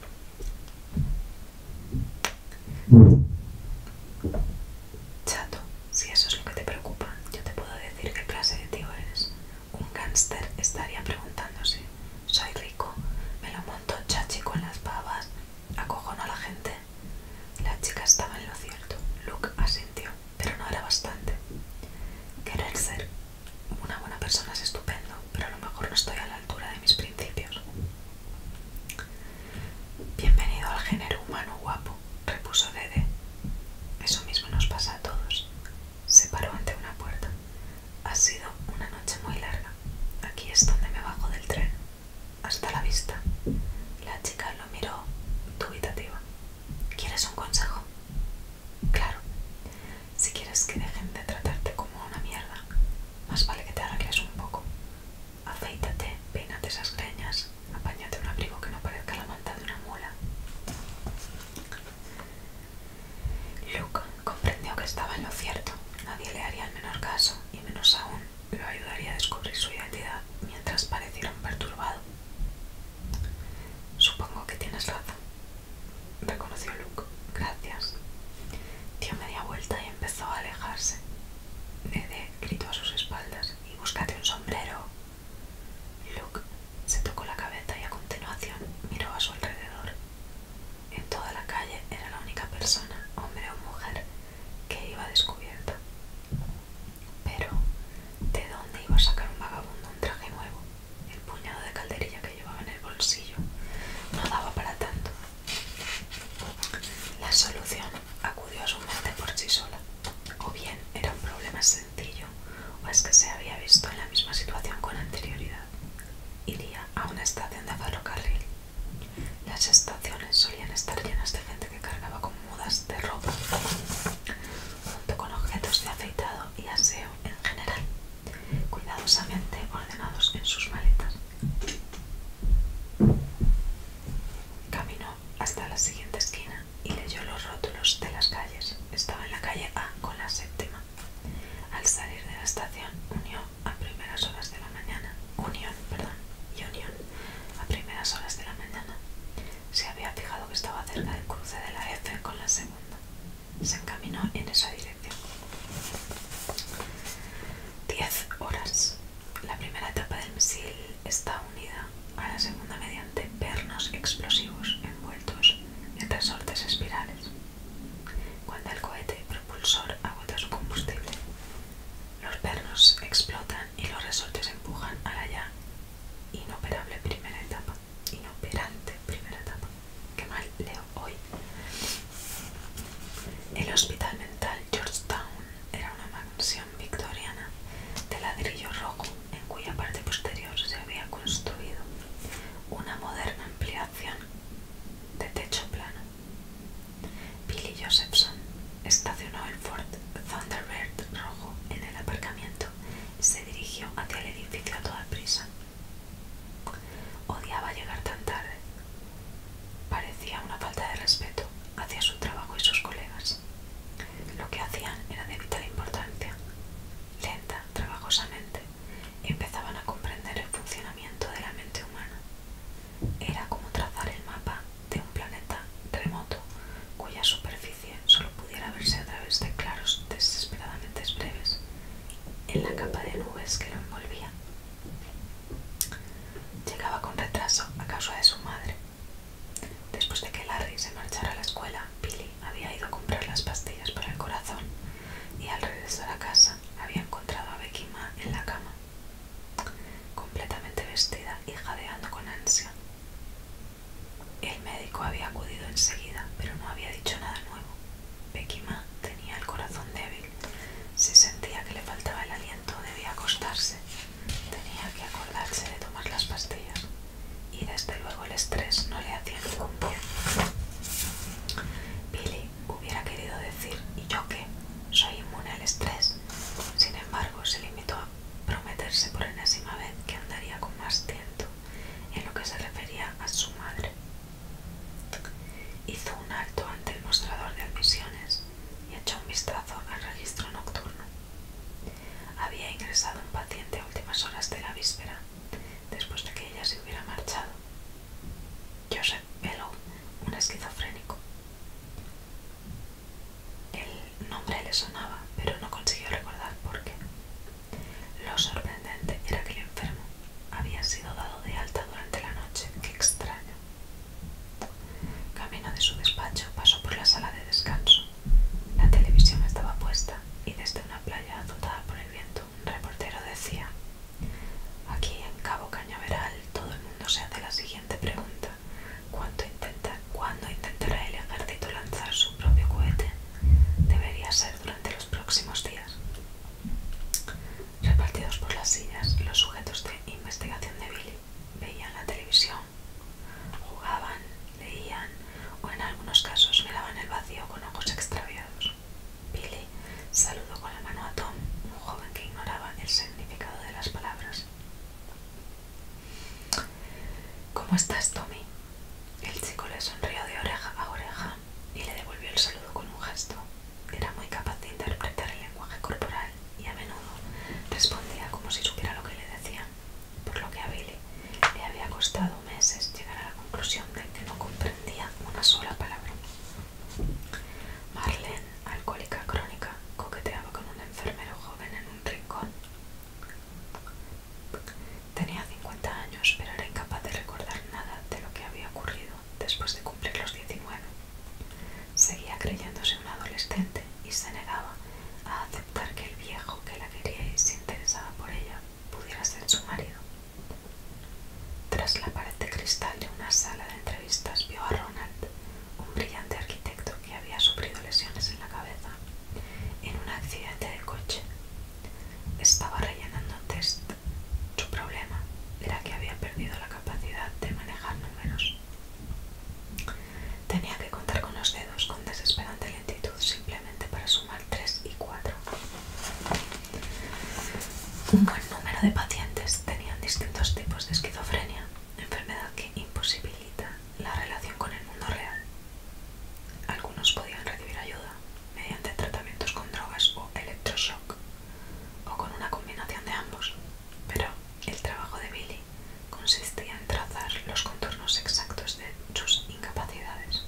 Chato, si eso es lo que te preocupa, yo te puedo decir qué clase de tío eres. Un gángster estaría preguntándose, soy rico, me lo monto chachi con las babas, acojono a la gente, la chica estaba en lo cierto. Luke asintió, pero no era bastante. Querer ser una buena persona es estupendo, pero a lo mejor no estoy a la altura de mis principios. Bienvenido al género humano guapo, repuso Dede. Eso mismo nos pasa a todos. Se paró ante una puerta. Ha sido una noche muy larga. Aquí es donde me bajo del tren. Hasta la vista. La chica lo miró dubitativa. ¿Quieres un consejo? Claro. Si quieres que dejen de tratarte como una mierda, más vale que te arregles un poco. Afeítate, peínate esas greñas, apáñate un abrigo que no parezca la manta de una mula. Luke comprendió que estaba en lo cierto. Nadie le haría el menor caso, y menos aún lo ayudaría a descubrir su identidad mientras pareciera un perturbado. Supongo que tienes razón, reconoció Luke. Gracias. Dio media vuelta y empezó a alejarse. Dede gritó a sus espaldas y búscate un sombrero. Luke se tocó la cabeza y a continuación miró a su alrededor. En toda la calle era la única persona, hombre o mujer, que iba descubierta. Pero, ¿de dónde iba a sacar un vagabundo un traje nuevo? El puñado de calderilla que llevaba en el bolsillo no daba para tanto. La solución acudió a su mente por sí sola. O bien era un problema sencillo, o es que se había visto en la misma situación con anterioridad. Iría a una estación de ferrocarril. Las estaciones solían estar llenas de gente cargaba con mudas de ropa, junto con objetos de afeitado y aseo en general, cuidadosamente ordenados en sus maletas. Caminó hasta la siguiente esquina y leyó los rótulos de las calles. Estaba en la calle A con la séptima. Al salir de la estación, unió a primeras horas de la mañana, Unión, perdón, y Unión a primeras horas de la mañana. Se había fijado que estaba cerca del cruce de la F con la segunda. Se encaminó en esa dirección. Diez horas. La primera etapa del misil está unida a la segunda mediante pernos explosivos envueltos en resortes espirales. Cuando el cohete propulsor agota su combustible, los pernos explotan y los resortes empujan a la ya inoperable primera etapa. Inoperante primera etapa. Qué mal leo hoy. El hospital mental Georgetown era una mansión victoriana de ladrillo rojo en cuya parte posterior se había construido una moderna ampliación de techo plano. Billy Josephson estacionó el Ford Thunderbird rojo en el aparcamiento se dirigió hacia el edificio a toda prisa. Odiaba llegar tan tarde. Parecía una falta de respeto hacia su trabajo y sus colegas. Lo que hacían era de vital importancia. Lenta, trabajosamente, empezaban a comprender el funcionamiento de la mente humana. Era como trazar el mapa de un planeta remoto cuya superficie solo pudiera verse a través de claros desesperadamente breves en la capa de nubes que lo envolvía. Llegaba con retraso a casa de su madre. Después de que Larry se marchara a la escuela, Billy había ido a comprar las pastillas para el corazón y al regresar a casa había encontrado a Becky en la cama, completamente vestida y jadeando con ansia el médico había acudido enseguida, pero no había dicho nada nuevo. Pekima tenía el corazón débil. Si sentía que le faltaba el aliento, debía acostarse. Tenía que acordarse de tomar las pastillas. Y desde luego el estrés no le hacía ningún bien. Billy hubiera querido decir, ¿y yo qué? Soy inmune al estrés. Sin embargo, se limitó a prometerse por enésima vez que andaría con más tiento en lo que se refería a su madre. Hizo un alto ante el mostrador de admisiones y echó un vistazo al registro nocturno. Había ingresado un paciente a últimas horas de la víspera, después de que ella se hubiera marchado. Joseph Bellow, un esquizofrénico. El nombre le sonaba, pero no consiguió recordar por qué. Lo sorprendente era que el enfermo había sido dado de alta durante la noche. ¡Qué extraño! Camino de su despacho pasó por la sala de descanso. La televisión estaba puesta y desde una playa azotada por el viento un reportero decía Aquí en Cabo Cañaveral todo el mundo se hace la siguiente pregunta. intenta, ¿Cuándo intentará el lanzar su propio cohete? Debería ser durante los próximos días. Repartidos por las sillas, los sujetos de investigación de Billy veían la televisión, jugaban, leían o en algunos casos miraban el vacío con ojos extraviados. Billy saludó con la mano a Tom, un joven que ignoraba el significado de las palabras. ¿Cómo estás, Tommy? El chico le sonrió de oreja a oreja y le devolvió el saludo con un gesto. Era muy capaz de interpretar el lenguaje corporal y a menudo respondía como si supiera lo que le decían, por lo que a Billy le había costado meses llegar a la conclusión de que no comprendía una sola palabra. Marlene, alcohólica crónica, coqueteaba con un enfermero joven en Tenía 50 años, pero era incapaz de recordar nada de lo que había ocurrido después de cumplir los 19. Seguía creyéndose un adolescente y se negaba a aceptar que el viejo que la quería y se interesaba por ella pudiera ser su marido. Tras la pared de cristal de una sala de entrevistas vio a Ronald, un brillante arquitecto que había sufrido lesiones en la cabeza en un accidente de coche. Estaba rellenando test. Su problema era que había perdido la capacidad de manejar números. Tenía que contar con los dedos con desesperante lentitud simplemente para sumar 3 y 4. Un buen número de pacientes tenían distintos tipos de esquizofrenia, enfermedad que imposibilita la relación con el mundo real. Algunos podían recibir ayuda mediante tratamientos con drogas o electroshock, o con una combinación de ambos, pero el trabajo de Billy consistía en trazar los contornos exactos de sus incapacidades.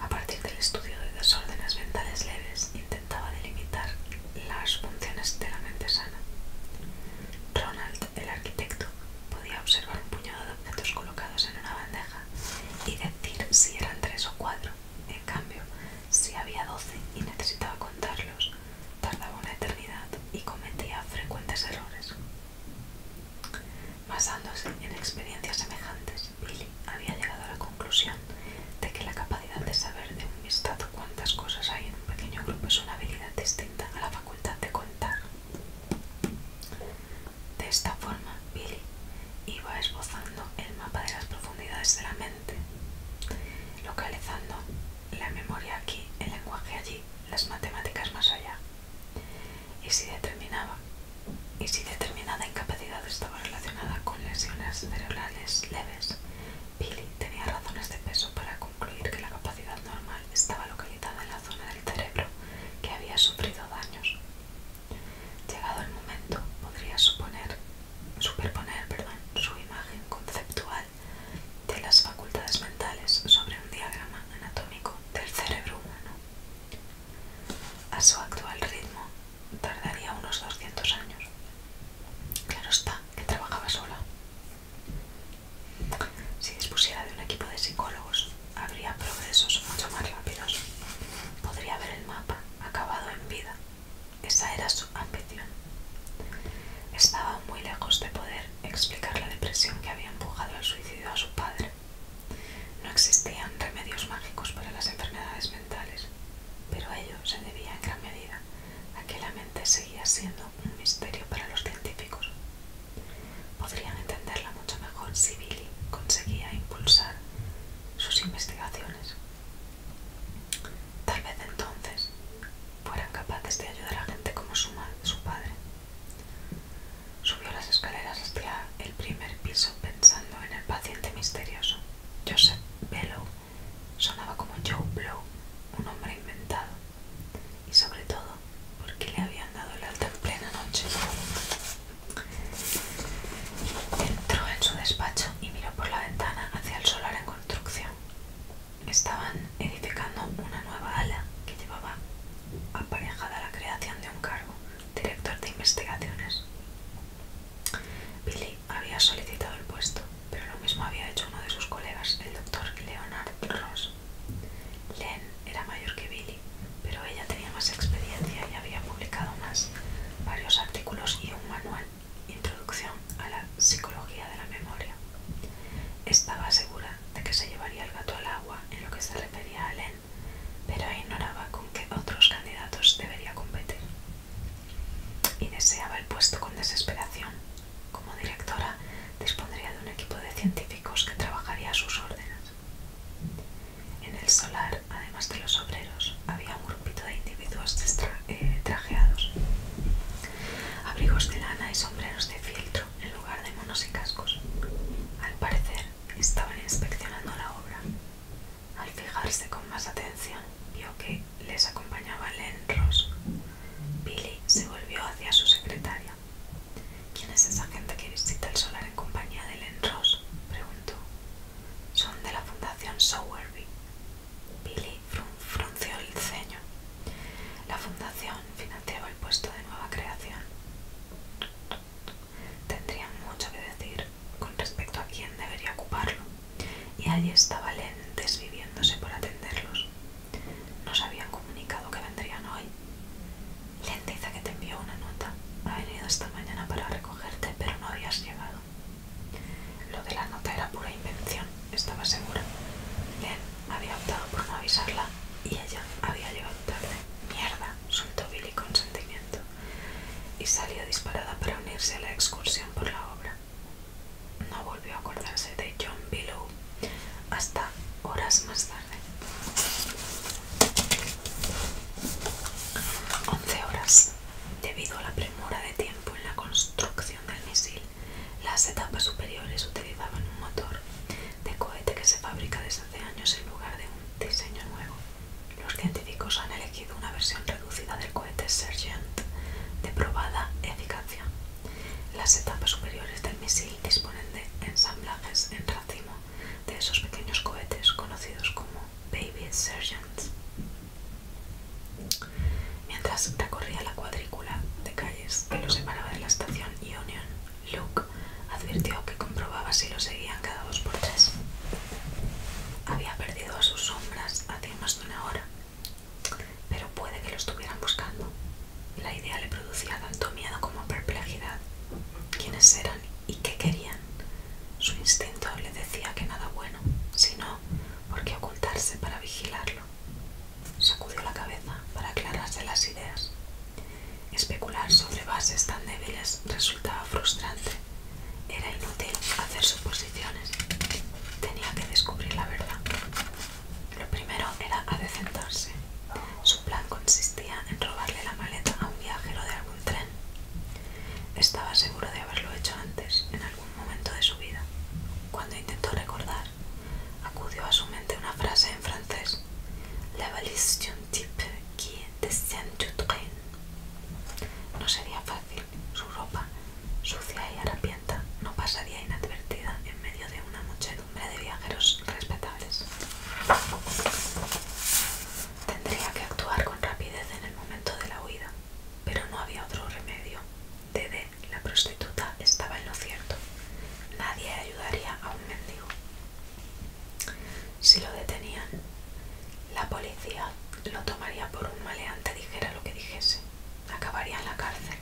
A partir del estudio de desórdenes mentales leves, intentaba delimitar las funciones de la mente sana. Ronald el arquitecto podía observar un puñado de objetos colocados en una bandeja y decir si eran tres o cuatro. En cambio, si había doce y necesitaba contarlos, tardaba una eternidad y cometía frecuentes errores. Basándose en experiencias semejantes, Billy había llegado a la conclusión de que la capacidad de saber de un vistazo cuántas cosas hay en un pequeño grupo es una habilidad distinta a la de contar. De esta forma, Billy iba esbozando el mapa de las profundidades de la mente, localizando la memoria aquí, el lenguaje allí, las matemáticas más allá. Y si determinaba, y si determinada incapacidad estaba relacionada con lesiones cerebrales leves, Billy tenía razones de peso para concluir que la capacidad normal estaba localizada en la zona del cerebro que había sufrido daños. Llegado el momento, podría superponer su imagen conceptual de las facultades mentales sobre un diagrama anatómico del cerebro humano. A su actual ritmo tardaría unos 200 años. Claro está que trabajaba sola. Si dispusiera de un equipo de psicólogos, habría progresos mucho más rápidos. Podría ver el mapa acabado en vida. Esa era su ambición. Estaba muy lejos de poder explicar la depresión que había empujado al suicidio a su padre. No existían remedios mágicos para las enfermedades mentales, pero ello se debía en gran medida a que la mente seguía siendo un misterio para los científicos. Podrían entenderla mucho mejor si Billy conseguía impulsar sus investigaciones. Tal vez entonces fueran capaces de ayudar a gente como su, su padre. Subió las escaleras hasta el primer piso pensando en el paciente misterioso. Joseph Bellow sonaba como Joe Blow, un hombre inventado y sobre todo porque le habían dado el alta en plena noche. Entró en su despacho y miró por la ventana hacia el solar en construcción. Estaban edificando una nueva ala que llevaba aparejada la creación de un cargo, director de investigaciones. Billy había solicitado el puesto, pero lo mismo había hecho uno de sus colegas, el doctor Leonard Ross. Len era mayor que Billy, pero ella tenía más experiencia y había publicado más, varios artículos y un manual, Introducción a la Psicología de la Memoria. Estaba segura de que se llevaría el gato al agua en lo que se refería a Len, pero ignoraba con qué otros candidatos debería competir. Y deseaba el puesto con desesperación, como directora, dispondría de un equipo de científicos que trabajaría a sus órdenes. En el solar, además de los obreros, había un grupito de individuos eh, trajeados. Abrigos de lana y sombreros de filtro en lugar de monos y cascos. Al parecer, estaban inspeccionando la obra. Al fijarse con más atención, vio que les acompañaba Len Ross. Billy se volvió hacia su secretaria. ¿Quién es esa gente que visita el solar en compañía de Len Ross? preguntó. Son de la Fundación Sowerby. Billy frunció el ceño. La fundación financiaba el puesto de nueva creación. Tendrían mucho que decir con respecto a quién debería ocuparlo, y allí estaba Len desviviéndose por atenderlos. Nos habían comunicado que vendrían hoy. dice que te envió una nota. Ha venido esta mañana para recogerte, pero no habías llegado. Lo de la nota era pura invención, estaba segura. Len había optado por no avisarla y ella había llegado tarde. Mierda, soltó Billy con sentimiento y salió disparada para unirse a la excursión por la obra no volvió a acordarse de John Billow hasta horas más tarde. 11 horas. Debido a la premura de tiempo en la construcción del misil, las etapas superiores utilizaban un motor de cohete que se fabrica desde hace años en lugar de un diseño nuevo. Los científicos han elegido una versión reducida del cohete Sergent de probada eficacia las etapas superiores del misil disponen de ensamblajes en racimo de esos pequeños cohetes conocidos como Baby Sergeants. Mientras recorría la cuadrícula de calles que lo separaba de la estación Union, Luke advirtió que comprobaba si lo seguían cada dos por tres. Había perdido a sus sombras hace más de una hora, pero puede que lo estuvieran buscando, la idea le producía tanto miedo como perplejidad. ¿Quiénes eran y qué querían? Su instinto le decía que nada bueno, sino por qué ocultarse para vigilarlo. Sacudió la cabeza para aclararse las ideas. Especular sobre bases tan débiles resultaba frustrante. Era inútil hacer suposiciones. Tenía que descubrir la verdad. Lo primero era adecentarse. Su plan consistía en robarle la maleta a un viajero de algún tren. Estaba seguro de haberlo hecho antes, en algún momento de su vida. Cuando intentó recordar, acudió a su mente una frase en francés: La valise d'un type qui descend du train. No sería fácil. Su ropa, sucia y harapienta, no pasaría inadvertida en medio de una de viajeros respetables. Tendría que actuar con rapidez en el momento de la huida, pero no había otro remedio. Dede, la prostituta, estaba en lo cierto. Nadie ayudaría a un mendigo. Si lo detenían, la policía lo tomaría por un maleante dijera lo que dijese. Acabaría en la cárcel.